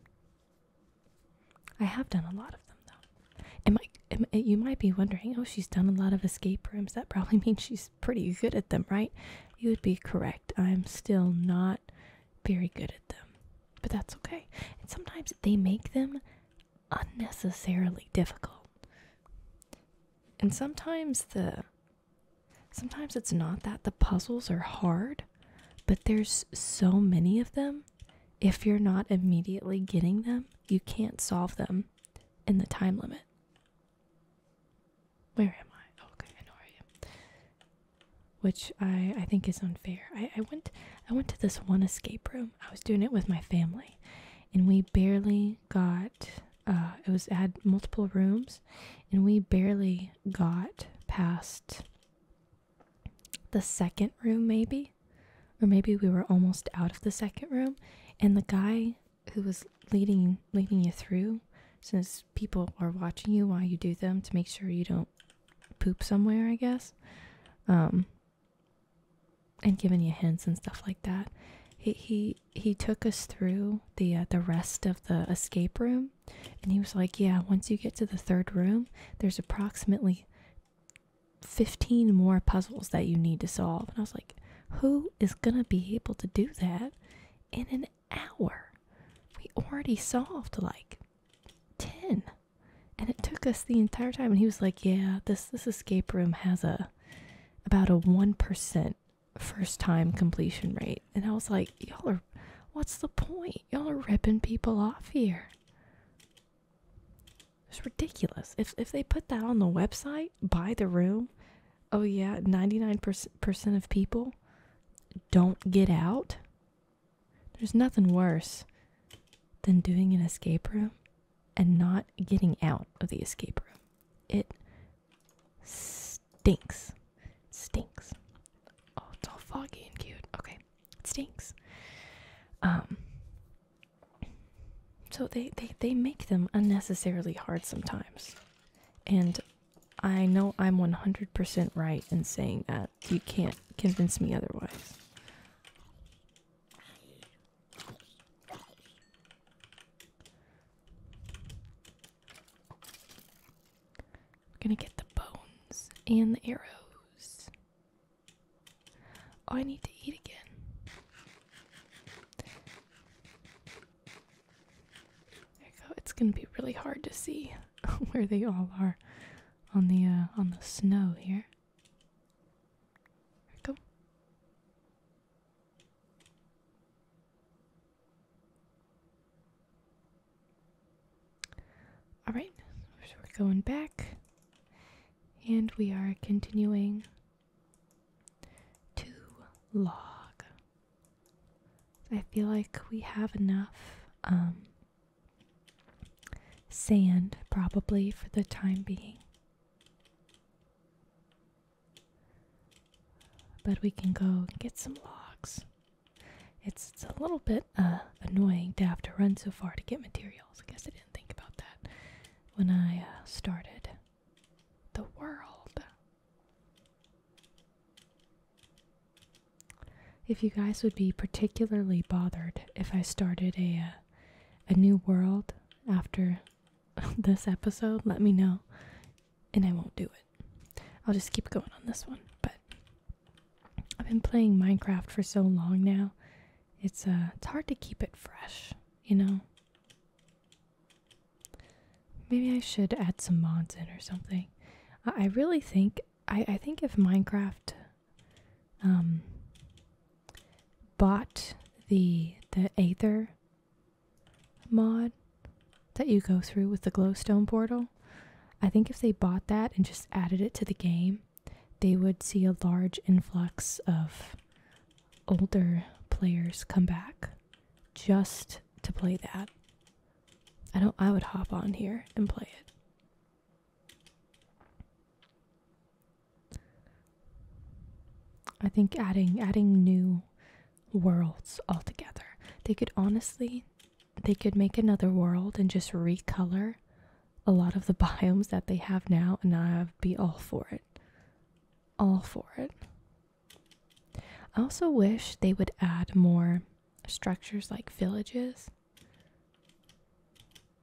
I have done a lot of them though. Am I, am, eh, you might be wondering, oh, she's done a lot of escape rooms. That probably means she's pretty good at them, right? You would be correct. I'm still not very good at them, but that's okay. And sometimes they make them unnecessarily difficult. And sometimes the Sometimes it's not that the puzzles are hard, but there's so many of them. If you're not immediately getting them, you can't solve them in the time limit. Where am I? Oh, okay, I know where I am. Which I I think is unfair. I I went I went to this one escape room. I was doing it with my family, and we barely got. Uh, it was had multiple rooms, and we barely got past the second room, maybe, or maybe we were almost out of the second room, and the guy who was leading leading you through, since people are watching you while you do them to make sure you don't poop somewhere, I guess, um, and giving you hints and stuff like that. He he he took us through the uh, the rest of the escape room and he was like, Yeah, once you get to the third room, there's approximately 15 more puzzles that you need to solve. And I was like, Who is going to be able to do that in an hour? We already solved like 10. And it took us the entire time. And he was like, Yeah, this, this escape room has a about a 1% first time completion rate. And I was like, y'all are, what's the point? Y'all are ripping people off here. It's ridiculous. If, if they put that on the website, buy the room, oh yeah, 99% of people don't get out. There's nothing worse than doing an escape room and not getting out of the escape room. It stinks. stinks. Oh, it's all foggy and cute. Okay. It stinks. Um so they, they, they make them unnecessarily hard sometimes. And I know I'm 100% right in saying that. You can't convince me otherwise. We're gonna get the bones and the arrows. Oh, I need to eat again. There we go. It's gonna be really hard to see where they all are on the uh, on the snow here. There we go. All right, so we're going back and we are continuing to log. I feel like we have enough um, sand probably for the time being. But we can go and get some logs. It's, it's a little bit uh, annoying to have to run so far to get materials. I guess I didn't think about that when I uh, started the world. If you guys would be particularly bothered if I started a uh, a new world after this episode, let me know and I won't do it. I'll just keep going on this one, but I've been playing Minecraft for so long now. It's uh it's hard to keep it fresh, you know. Maybe I should add some mods in or something. I really think I I think if Minecraft um bought the the Aether mod that you go through with the glowstone portal. I think if they bought that and just added it to the game, they would see a large influx of older players come back just to play that. I don't I would hop on here and play it. I think adding adding new worlds altogether. They could honestly they could make another world and just recolor a lot of the biomes that they have now, and I'd be all for it. All for it. I also wish they would add more structures like villages.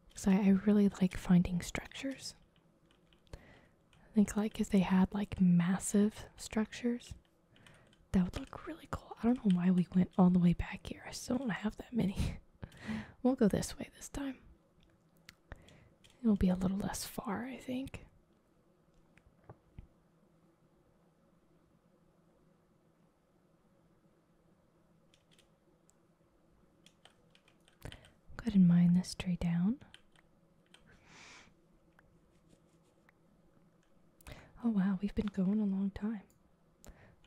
Because I, really like finding structures. I think like if they had like massive structures that would look really cool. I don't know why we went all the way back here. I still don't have that many. we'll go this way this time. It'll be a little less far, I think. Go ahead and mine this tree down. Oh wow, we've been going a long time.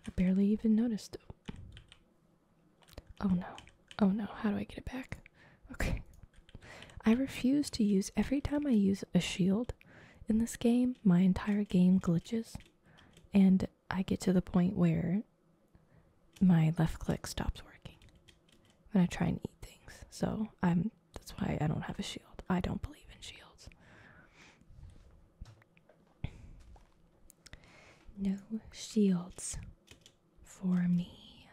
I barely even noticed. Oh no. Oh no, how do I get it back? Okay. I refuse to use every time I use a shield in this game, my entire game glitches and I get to the point where my left click stops working when I try and eat things. So I'm that's why I don't have a shield. I don't believe in shields. No shields for me.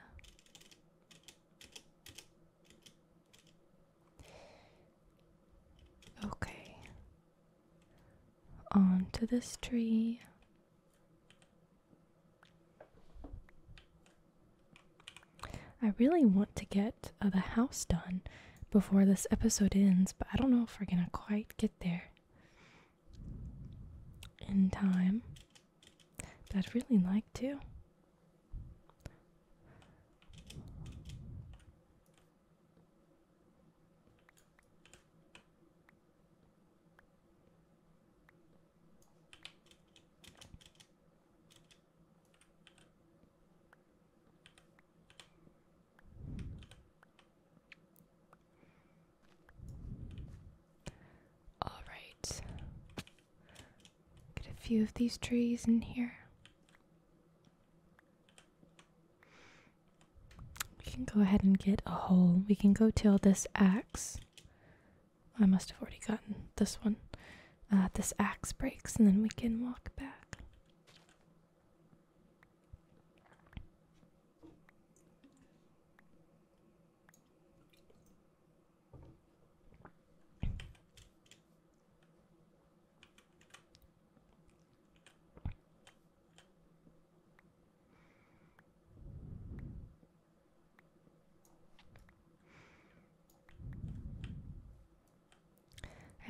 Okay. On this tree. I really want to get uh, the house done before this episode ends, but I don't know if we're going to quite get there in time. But I'd really like to. All right. Get a few of these trees in here. We can go ahead and get a hole. We can go till this axe. I must have already gotten this one. Uh, this axe breaks, and then we can walk back.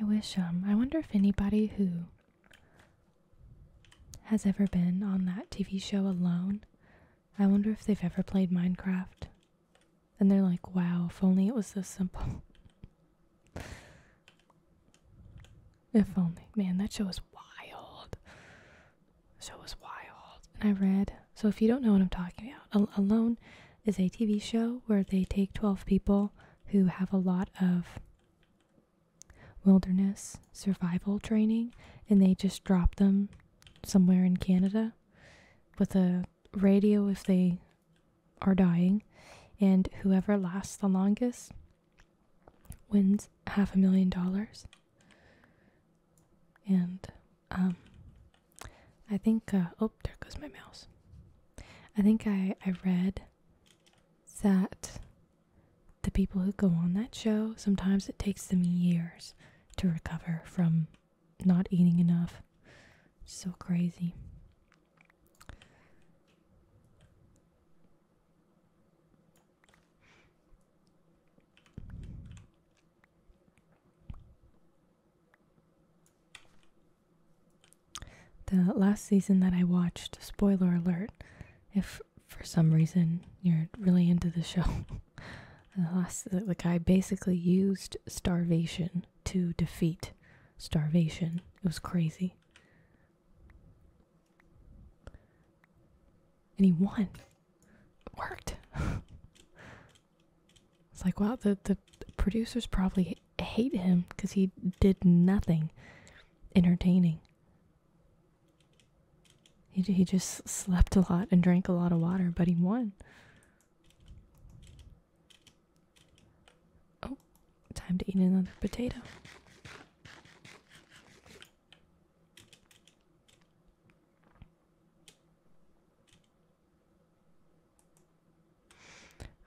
I wish, um, I wonder if anybody who has ever been on that TV show alone, I wonder if they've ever played Minecraft. And they're like, wow, if only it was so simple. if only. Man, that show was wild. The show was wild. And I read, so if you don't know what I'm talking about, Alone is a TV show where they take 12 people who have a lot of wilderness survival training and they just drop them somewhere in Canada with a radio if they are dying. And whoever lasts the longest wins half a million dollars. And um, I think, uh, oh, there goes my mouse. I think I, I read that the people who go on that show, sometimes it takes them years to recover from not eating enough. So crazy. The last season that I watched, spoiler alert, if for some reason you're really into the show, the last the guy basically used starvation to defeat starvation. It was crazy. And he won. It worked. It's like, wow, the, the producers probably hate him because he did nothing entertaining. He, he just slept a lot and drank a lot of water, but he won. Oh, time to eat another potato.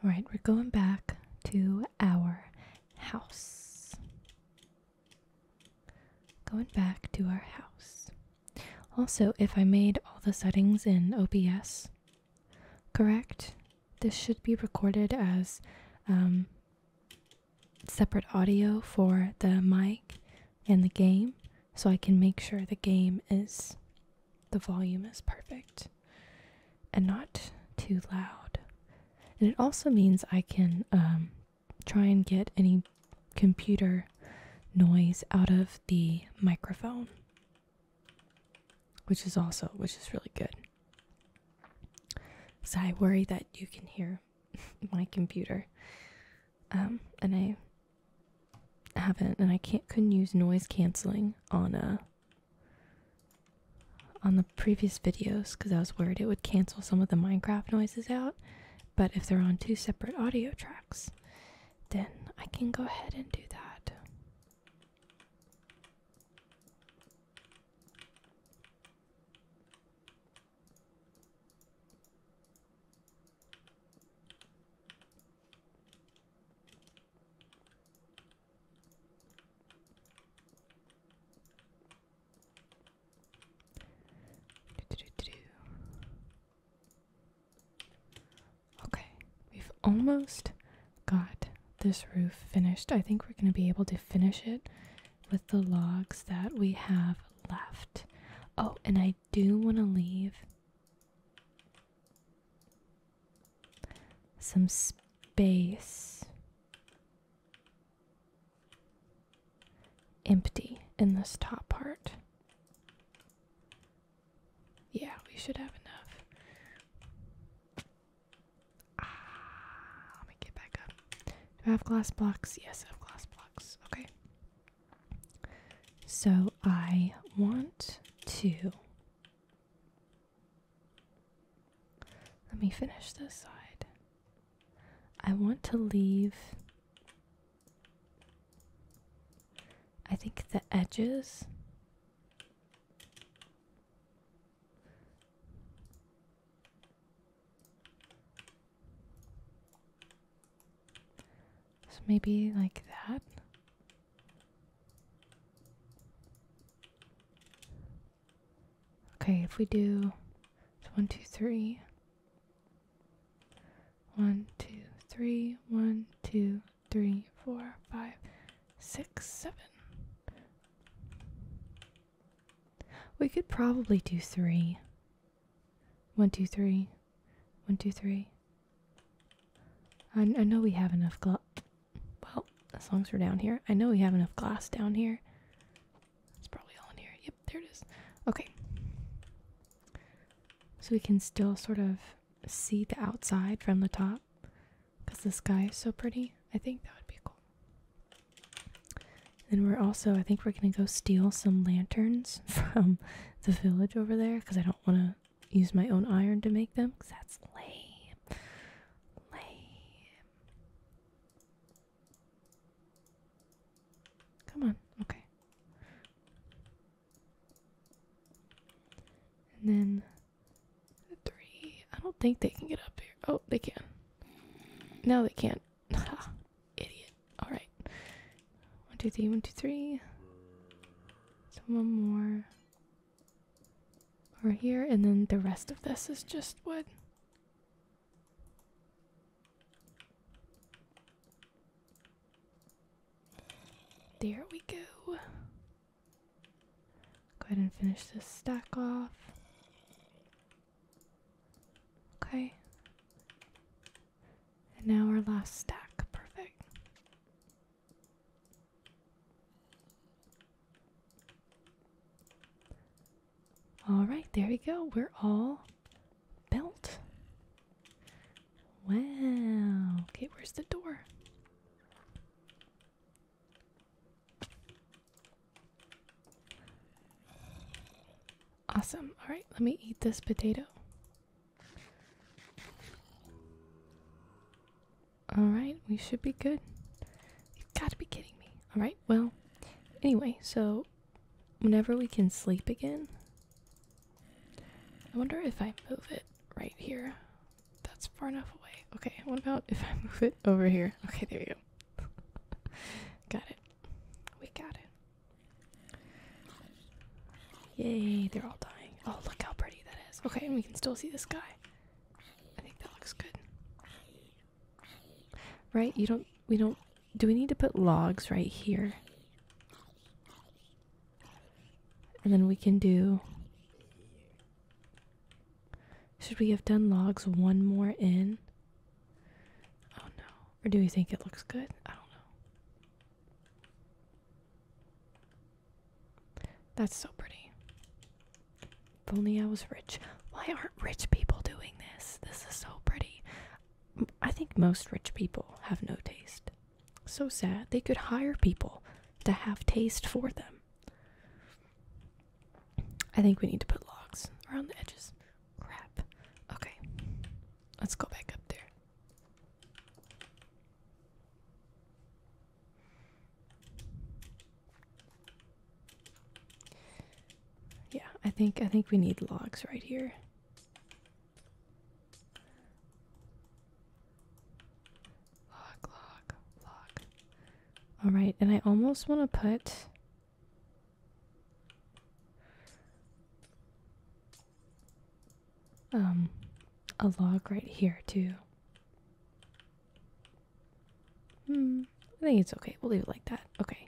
All right, we're going back to our house. Going back to our house. Also, if I made all the settings in OBS correct, this should be recorded as um, separate audio for the mic and the game so I can make sure the game is the volume is perfect and not too loud. And it also means I can um, try and get any computer noise out of the microphone, which is also which is really good. So I worry that you can hear my computer, um, and I haven't, and I can't couldn't use noise canceling on a uh, on the previous videos because I was worried it would cancel some of the Minecraft noises out. But if they're on two separate audio tracks, then I can go ahead and do that. Okay, we've almost got this roof finished. I think we're going to be able to finish it with the logs that we have left. Oh, and I do want to leave some space empty in this top part. Yeah, we should have enough. Ah, let me get back up. Do I have glass blocks? Yes, I have glass blocks. Okay. So I want to. Let me finish this side. I want to leave. I think the edges. So maybe like that. Okay, if we do one, two, three, one, two, three, one, two, three, four, five, six, seven. We could probably do three. One, two, three. One, two, three. I, I know we have enough glass. Well, as long as we're down here, I know we have enough glass down here. It's probably all in here. Yep, there it is. Okay. So we can still sort of see the outside from the top because the sky is so pretty. I think that would be cool. And we're also, I think we're going to go steal some lanterns from the village over there because I don't want to use my own iron to make them because that's lame. Lame. Come on. Okay. And then three. I don't think they can get up here. Oh, they can. No, they can't. Idiot. Alright. One, two, three, one, two, three. So one more over here, and then the rest of this is just wood. There we go. Go ahead and finish this stack off. Okay. And now our last stack. Perfect. All right, there we go. We're all built. Wow. Okay, where's the door? Awesome. All right, let me eat this potato. Alright, we should be good. You've got to be kidding me. Alright, well, anyway, so whenever we can sleep again, I wonder if I move it right here. That's far enough away. Okay, what about if I move it over here? Okay, there we go. got it. We got it. Yay, they're all dying. Oh, look how pretty that is. Okay, and we can still see the sky. I think that looks good. Right? You don't, we don't, do we need to put logs right here? And then we can do. Should we have done logs one more in? Oh no. Or do we think it looks good? I don't know. That's so pretty. If only I was rich. Why aren't rich people doing this? This is so pretty. I think most rich people have no taste. So sad. They could hire people to have taste for them. I think we need to put logs around the edges. Crap. Okay. Let's go back up there. Yeah, I think I think we need logs right here. Log, log, log. All right, and I almost want to put um, a log right here too. Hmm, I think it's okay. We'll leave it like that. Okay.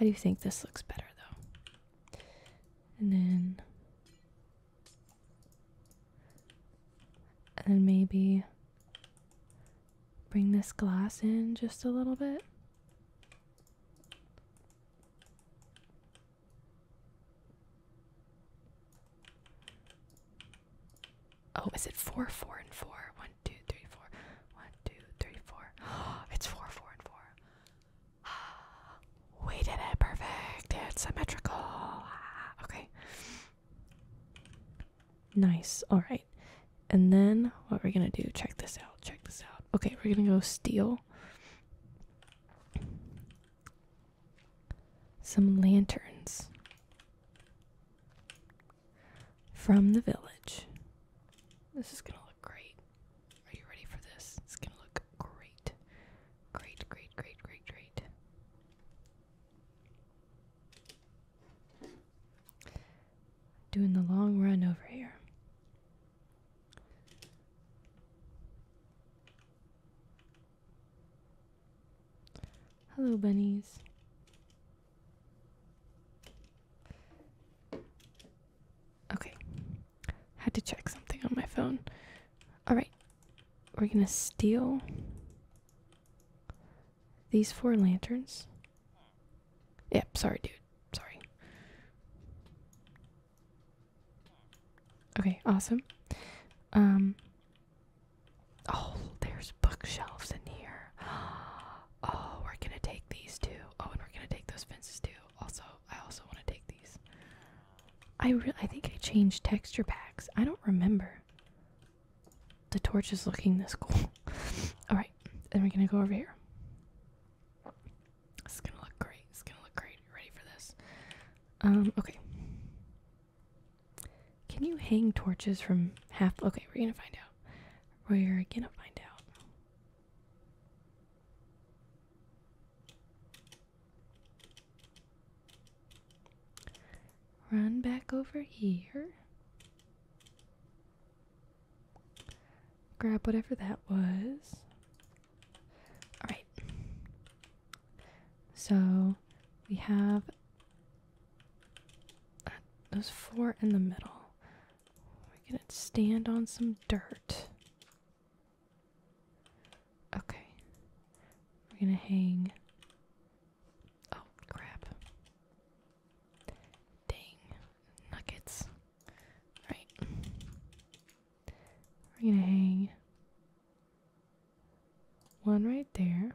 I do think this looks better though. And then and then maybe bring this glass in just a little bit. Oh, is it four, four, and four? One, two, three, four. One, two, three, four. it's four, four, and four. we did it perfect. It's symmetrical. Okay. Nice. All right. And then what we're gonna do? Check this out. Check this out. Okay, we're gonna go steal. Some lanterns from the village. This is going to look great. Are you ready for this? It's going to look great. Great, great, great, great, great. Doing the long run over here. Hello, bunnies. Okay. Had to check something on my phone. Alright. We're gonna steal these four lanterns. Yep, sorry, dude. Sorry. Okay, awesome. Um Oh, there's bookshelves in here. Oh, we're gonna take these too. Oh, and we're gonna take those fences too. Also, I also want to take these. I re I think I changed texture packs. I don't remember. The torch is looking this cool. All right, then we're gonna go over here. This is gonna look great. It's gonna look great. Ready for this? Um, okay. Can you hang torches from half? Okay, we're gonna find out. We're gonna find out. Run back over here. Grab whatever that was. Alright. So we have uh, those four in the middle. We're going to stand on some dirt. Okay. We're going to hang. Oh, crap. Dang. Nuggets. Right. We're gonna hang one right there.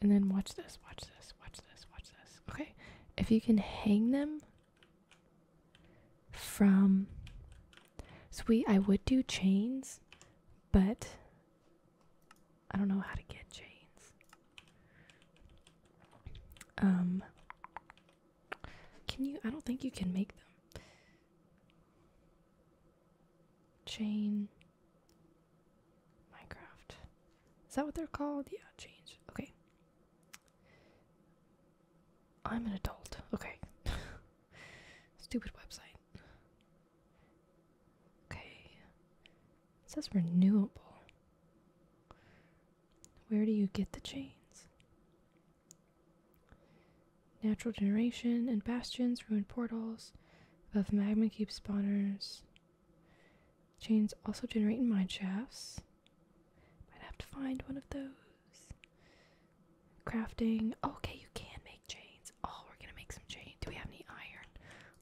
And then watch this, watch this, watch this, watch this. Okay. If you can hang them from sweet, I would do chains, but I don't know how to get chains. Um can you? I don't think you can make them. Chain. Minecraft. Is that what they're called? Yeah, change. Okay. I'm an adult. Okay. Stupid website. Okay. It says renewable. Where do you get the chains? Natural generation and bastions ruined portals. Above magma keep spawners. Chains also generate mine shafts. Might have to find one of those. Crafting. Okay, you can make chains. Oh, we're gonna make some chains. Do we have any iron?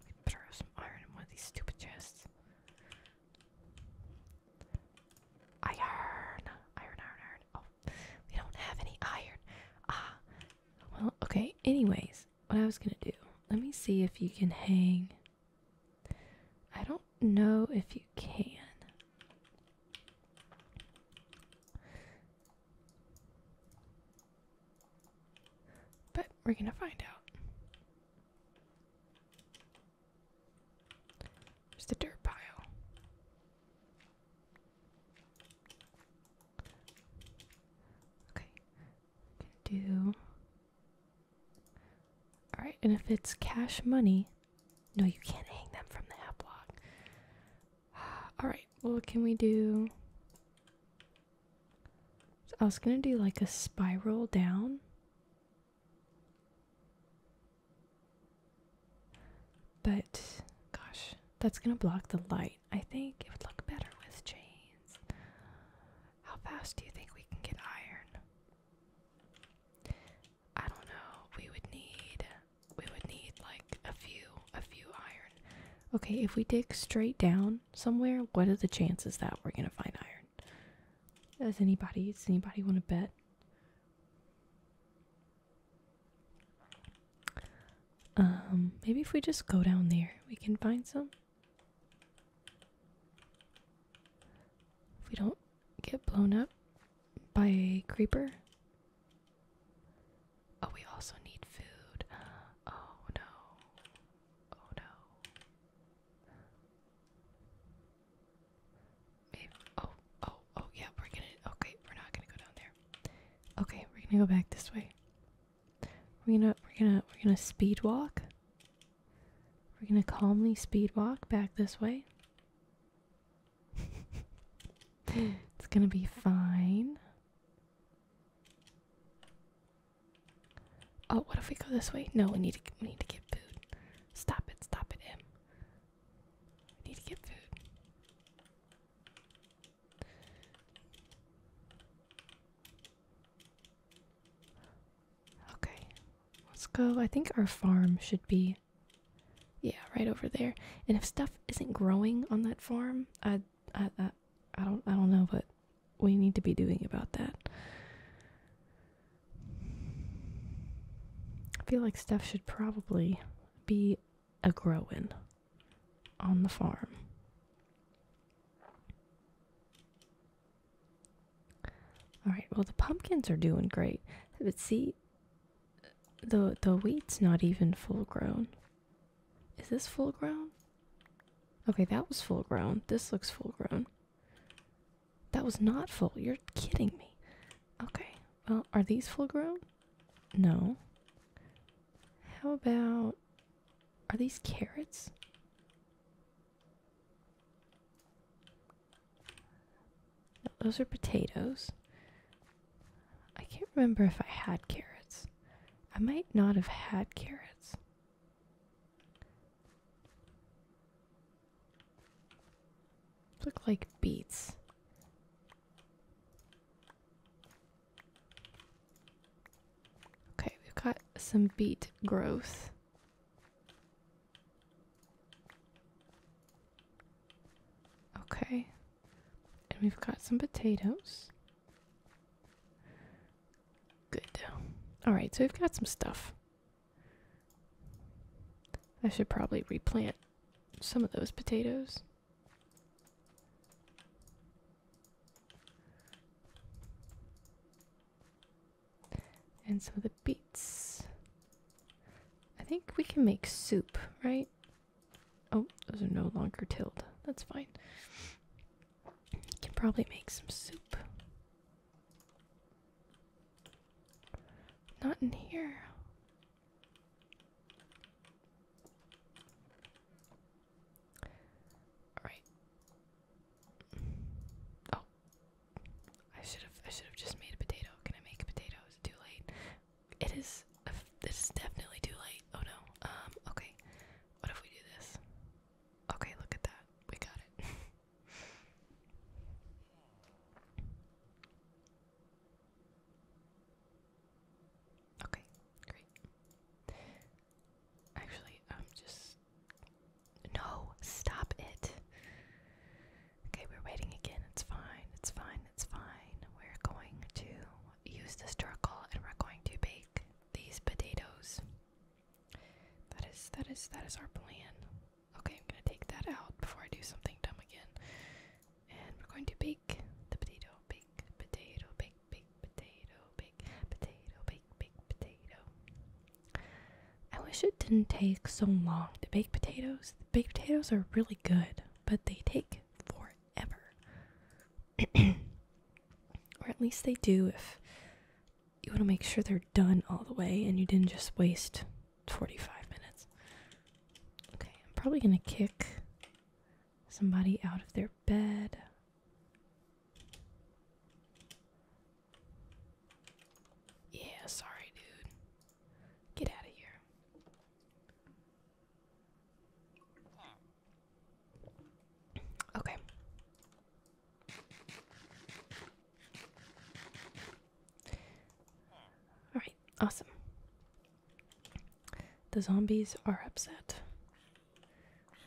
Let me throw some iron in one of these stupid chests. Iron, iron, iron, iron. Oh, we don't have any iron. Ah, well, okay. Anyways, what I was gonna do. Let me see if you can hang. I don't know if you can. But we're gonna find out. Where's the dirt pile? Okay. Do all right, and if it's cash money, no, you can't hang them from the app block. All right, well, can we do? I was gonna do like a spiral down, but gosh, that's gonna block the light. I think it would look better with chains. How fast do you think we can get iron? I don't know. We would need we would need like a few a few iron. Okay, if we dig straight down somewhere, what are the chances that we're gonna find iron? Does anybody does anybody want to bet? Um, maybe if we just go down there, we can find some. If we don't get blown up by a creeper. Oh, we also need food. Oh no. Oh no. Oh, oh, oh, yeah, we're gonna. Okay, we're not gonna go down there. Okay, we're gonna go back this way. We're gonna, we're gonna, we're gonna speed walk. We're gonna calmly speed walk back this way. it's gonna be fine. Oh, what if we go this way? No, we need to, we need to get food. Stop it, stop it, M. I need to get food. Okay, let's go. I think our farm should be, yeah, right over there. And if stuff isn't growing on that farm, I, I, I, I don't, I don't know what we need to be doing about that. I feel like stuff should probably be a growing on the farm. All right, well the pumpkins are doing great. But see the the wheat's not even full grown. Is this full grown? Okay, that was full grown. This looks full grown. That was not full. You're kidding me. Okay. Well, are these full grown? No. How about. Are these carrots? those are potatoes. I can't remember if I had carrots. I might not have had carrots. Look like beets. Okay, we've got some beet growth. Okay. And we've got some potatoes. Good. Alright, so we've got some stuff. I should probably replant some of those potatoes. And some of the beets. I think we can make soup, right? Oh, those are no longer tilled. That's fine. Can probably make some soup. Not in here. All right. Oh, I should have. I should have just made a potato. Can I make a potato? Is too late? It is. It is definitely too late. Oh no. Um. Okay. What if we do this? Okay. Look at that. We got it. Okay, great. Actually, I'm um, just. No, stop it. Okay, we're waiting again. It's fine, it's fine, it's fine. We're going to use this charcoal and we're going to bake these potatoes. That is, that is, that is our plan. Okay, I'm gonna take that out before I do something dumb again. And we're going to bake the potato, bake, potato, bake, bake, potato, bake, potato, bake, bake, potato. I wish it didn't take so long to bake potatoes. The baked potatoes are really good, but they take forever. or at least they do if you want to make sure they're done all the way and you didn't just waste 45 minutes. Okay, I'm probably gonna kick somebody out of their bed. Yeah, sorry, dude. Get out of here. Okay. Alright, awesome. The zombies are upset.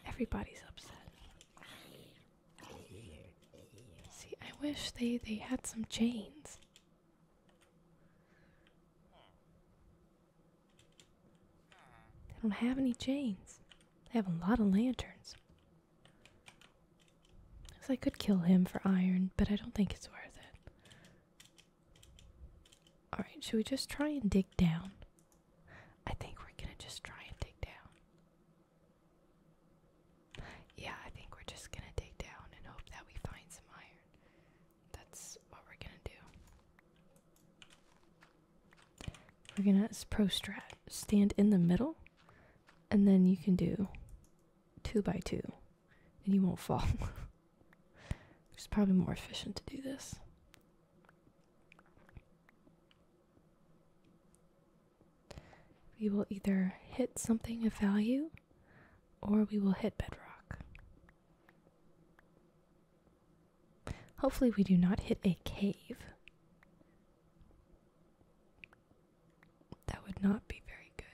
Everybody's upset. See, I wish they they had some chains. They don't have any chains. They have a lot of lanterns. Cause I could kill him for iron, but I don't think it's worth it. Alright, should we just try and dig down? I think we're gonna just try and dig down. Yeah, I think we're just gonna dig down and hope that we find some iron. That's what we're gonna do. We're gonna prostrat stand in the middle, and then you can do two by two and you won't fall. it's probably more efficient to do this. We will either hit something of value or we will hit bedrock. Hopefully, we do not hit a cave. That would not be very good.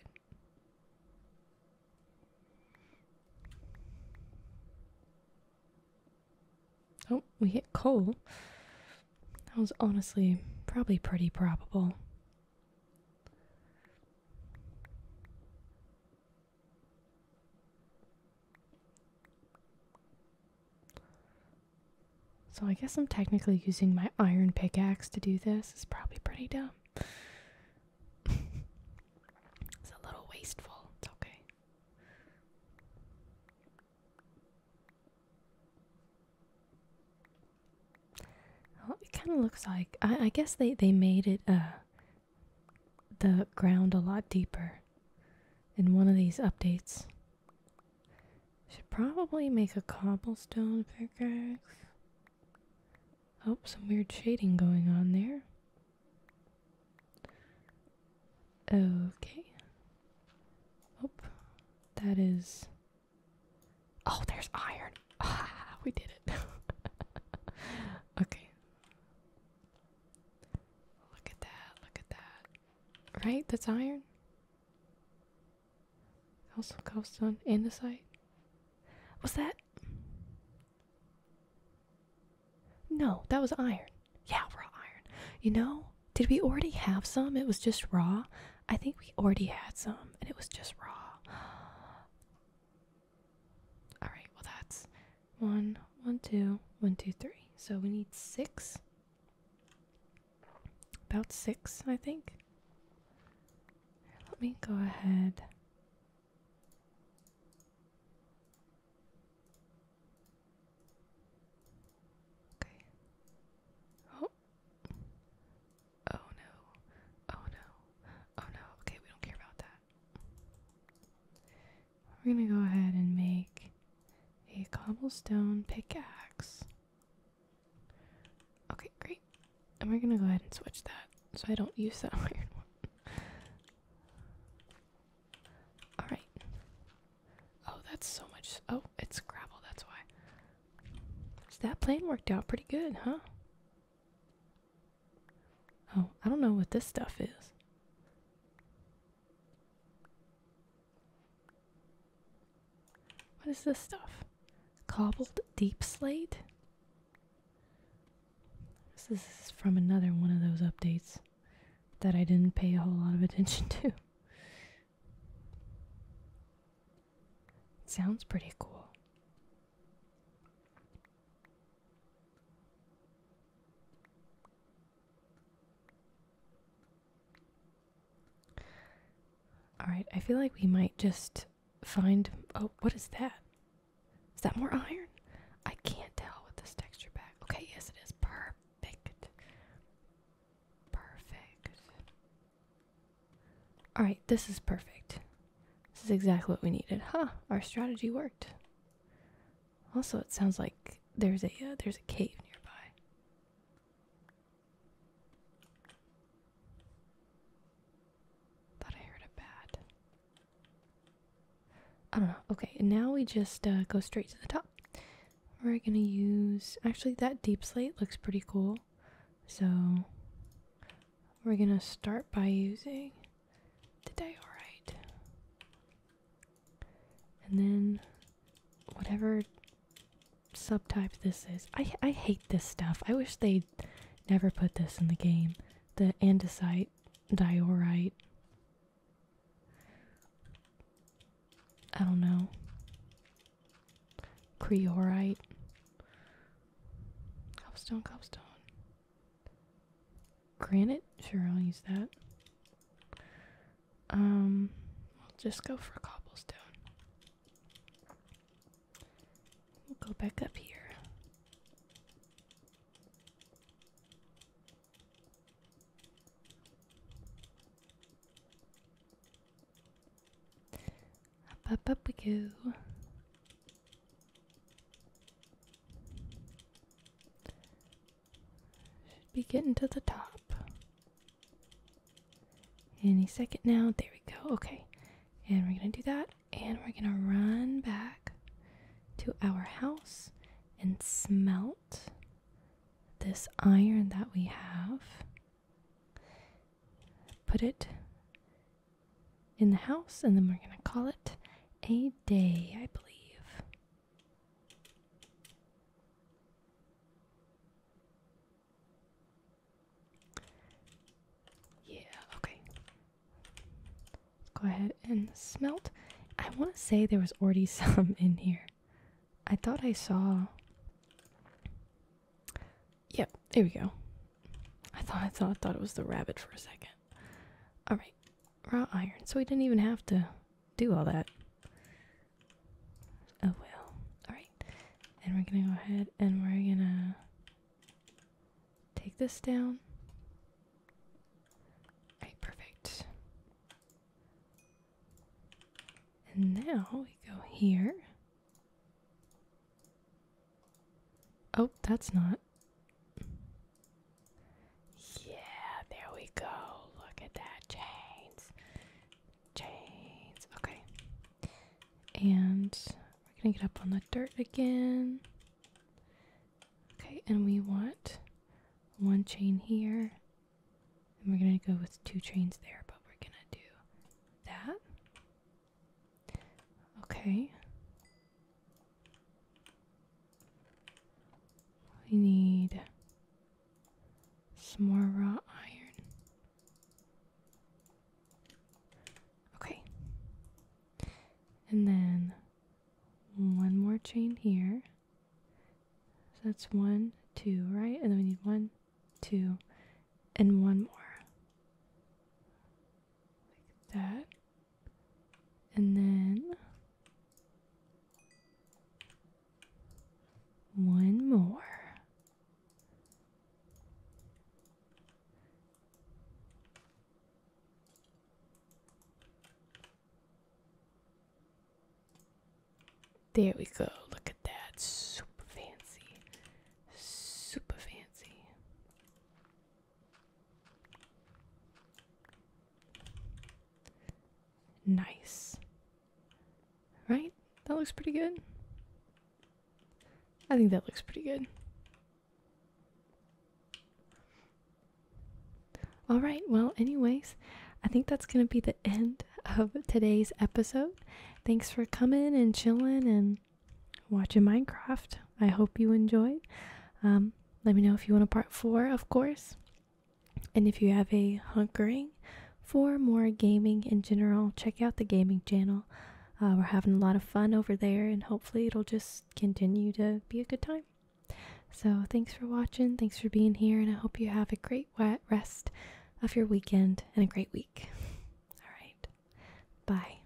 Oh, we hit coal. That was honestly probably pretty probable. So I guess I'm technically using my iron pickaxe to do this this is probably pretty dumb. it's a little wasteful. It's okay. it kind of looks like I, guess they they made it uh, the ground a lot deeper in one of these updates. Should probably make a cobblestone pickaxe. Oh, some weird shading going on there. Okay. Oh, that is. Oh, there's iron. we did it. okay. Look at that. Look at that. Right? That's iron? Also cobblestone in the site. What's that? No, that was iron. Yeah, raw iron. You know, did we already have some? It was just raw. I think we already had some, and it was just raw. All right. Well, that's one, one, two, one, two, three. So we need six. About six, I think let me go ahead. Okay. Oh. Oh no. Oh no. Oh no. Okay, we don't care about that. We're gonna go ahead and make a cobblestone pickaxe. Okay, great. And we're gonna go ahead and switch that so I don't use that weird one. Alright. Oh, that's so much. Oh, it's gravel, that's why. So that plan worked out pretty good, huh? Oh, I don't know what this stuff is. What is this stuff? Cobbled Deep Slate. This is from another one of those updates that I didn't pay a whole lot of attention to. Sounds pretty cool. Alright, I feel like we might just find. Oh, what is that? Is that more iron? I can't tell with this texture back. Okay, yes, it is. Perfect. Perfect. Alright, this is perfect. This is exactly what we needed. Huh, our strategy worked. Also, it sounds like there's a uh, there's a cave nearby. Thought I heard a bat. I don't know. Okay, now we just uh, go straight to the top. We're gonna use actually that deep slate looks pretty cool. So we're gonna start by using the alright, and then whatever subtype this is. I I hate this stuff. I wish they never put this in the game. The andesite, diorite. I don't know. Creorite. Cobblestone, cobblestone. Granite? Sure, I'll use that. Um, I'll just go for cobblestone. We'll go back up here. Up, up, up we go. Should be getting to the top. Any second now. There we go. Okay. And we're going to do that. And we're going to run back to our house and smelt this iron that we have. Put it in the house and then we're going to call it a day, I believe. Yeah, okay. Let's go ahead and smelt. I want to say there was already some in here. I thought I saw. Yep, there we go. I thought I thought I thought it was the rabbit for a second. All right, raw iron. So we didn't even have to do all that. Oh well. All right. And we're gonna go ahead and we're gonna take this down. perfect. And now we go here. Oh, that's not. Yeah, there we go. Look at that chains. Chains. Okay. And we're gonna get up on the dirt again. Okay, and we want one chain here. And we're gonna go with two chains there, but we're gonna do that. Okay. We need some more raw iron. Okay. And then one more chain here. So that's one, two, right? And then we need one, two, and one more. Like that. And then one more. There we go. Look at that. Super fancy. Super fancy. Nice. Right? That looks pretty good. I think that looks pretty good. All right, well, anyways, I think that's going to be the end of today's episode. Thanks for coming and chilling and watching Minecraft. I hope you enjoyed. Um, let me know if you want a part four, of course. And if you have a hunkering for more gaming in general, check out the gaming channel. Uh, we're having a lot of fun over there, and hopefully, it'll just continue to be a good time. So, thanks for watching, thanks for being here, and I hope you have a great rest of your weekend and a great week. All right, bye.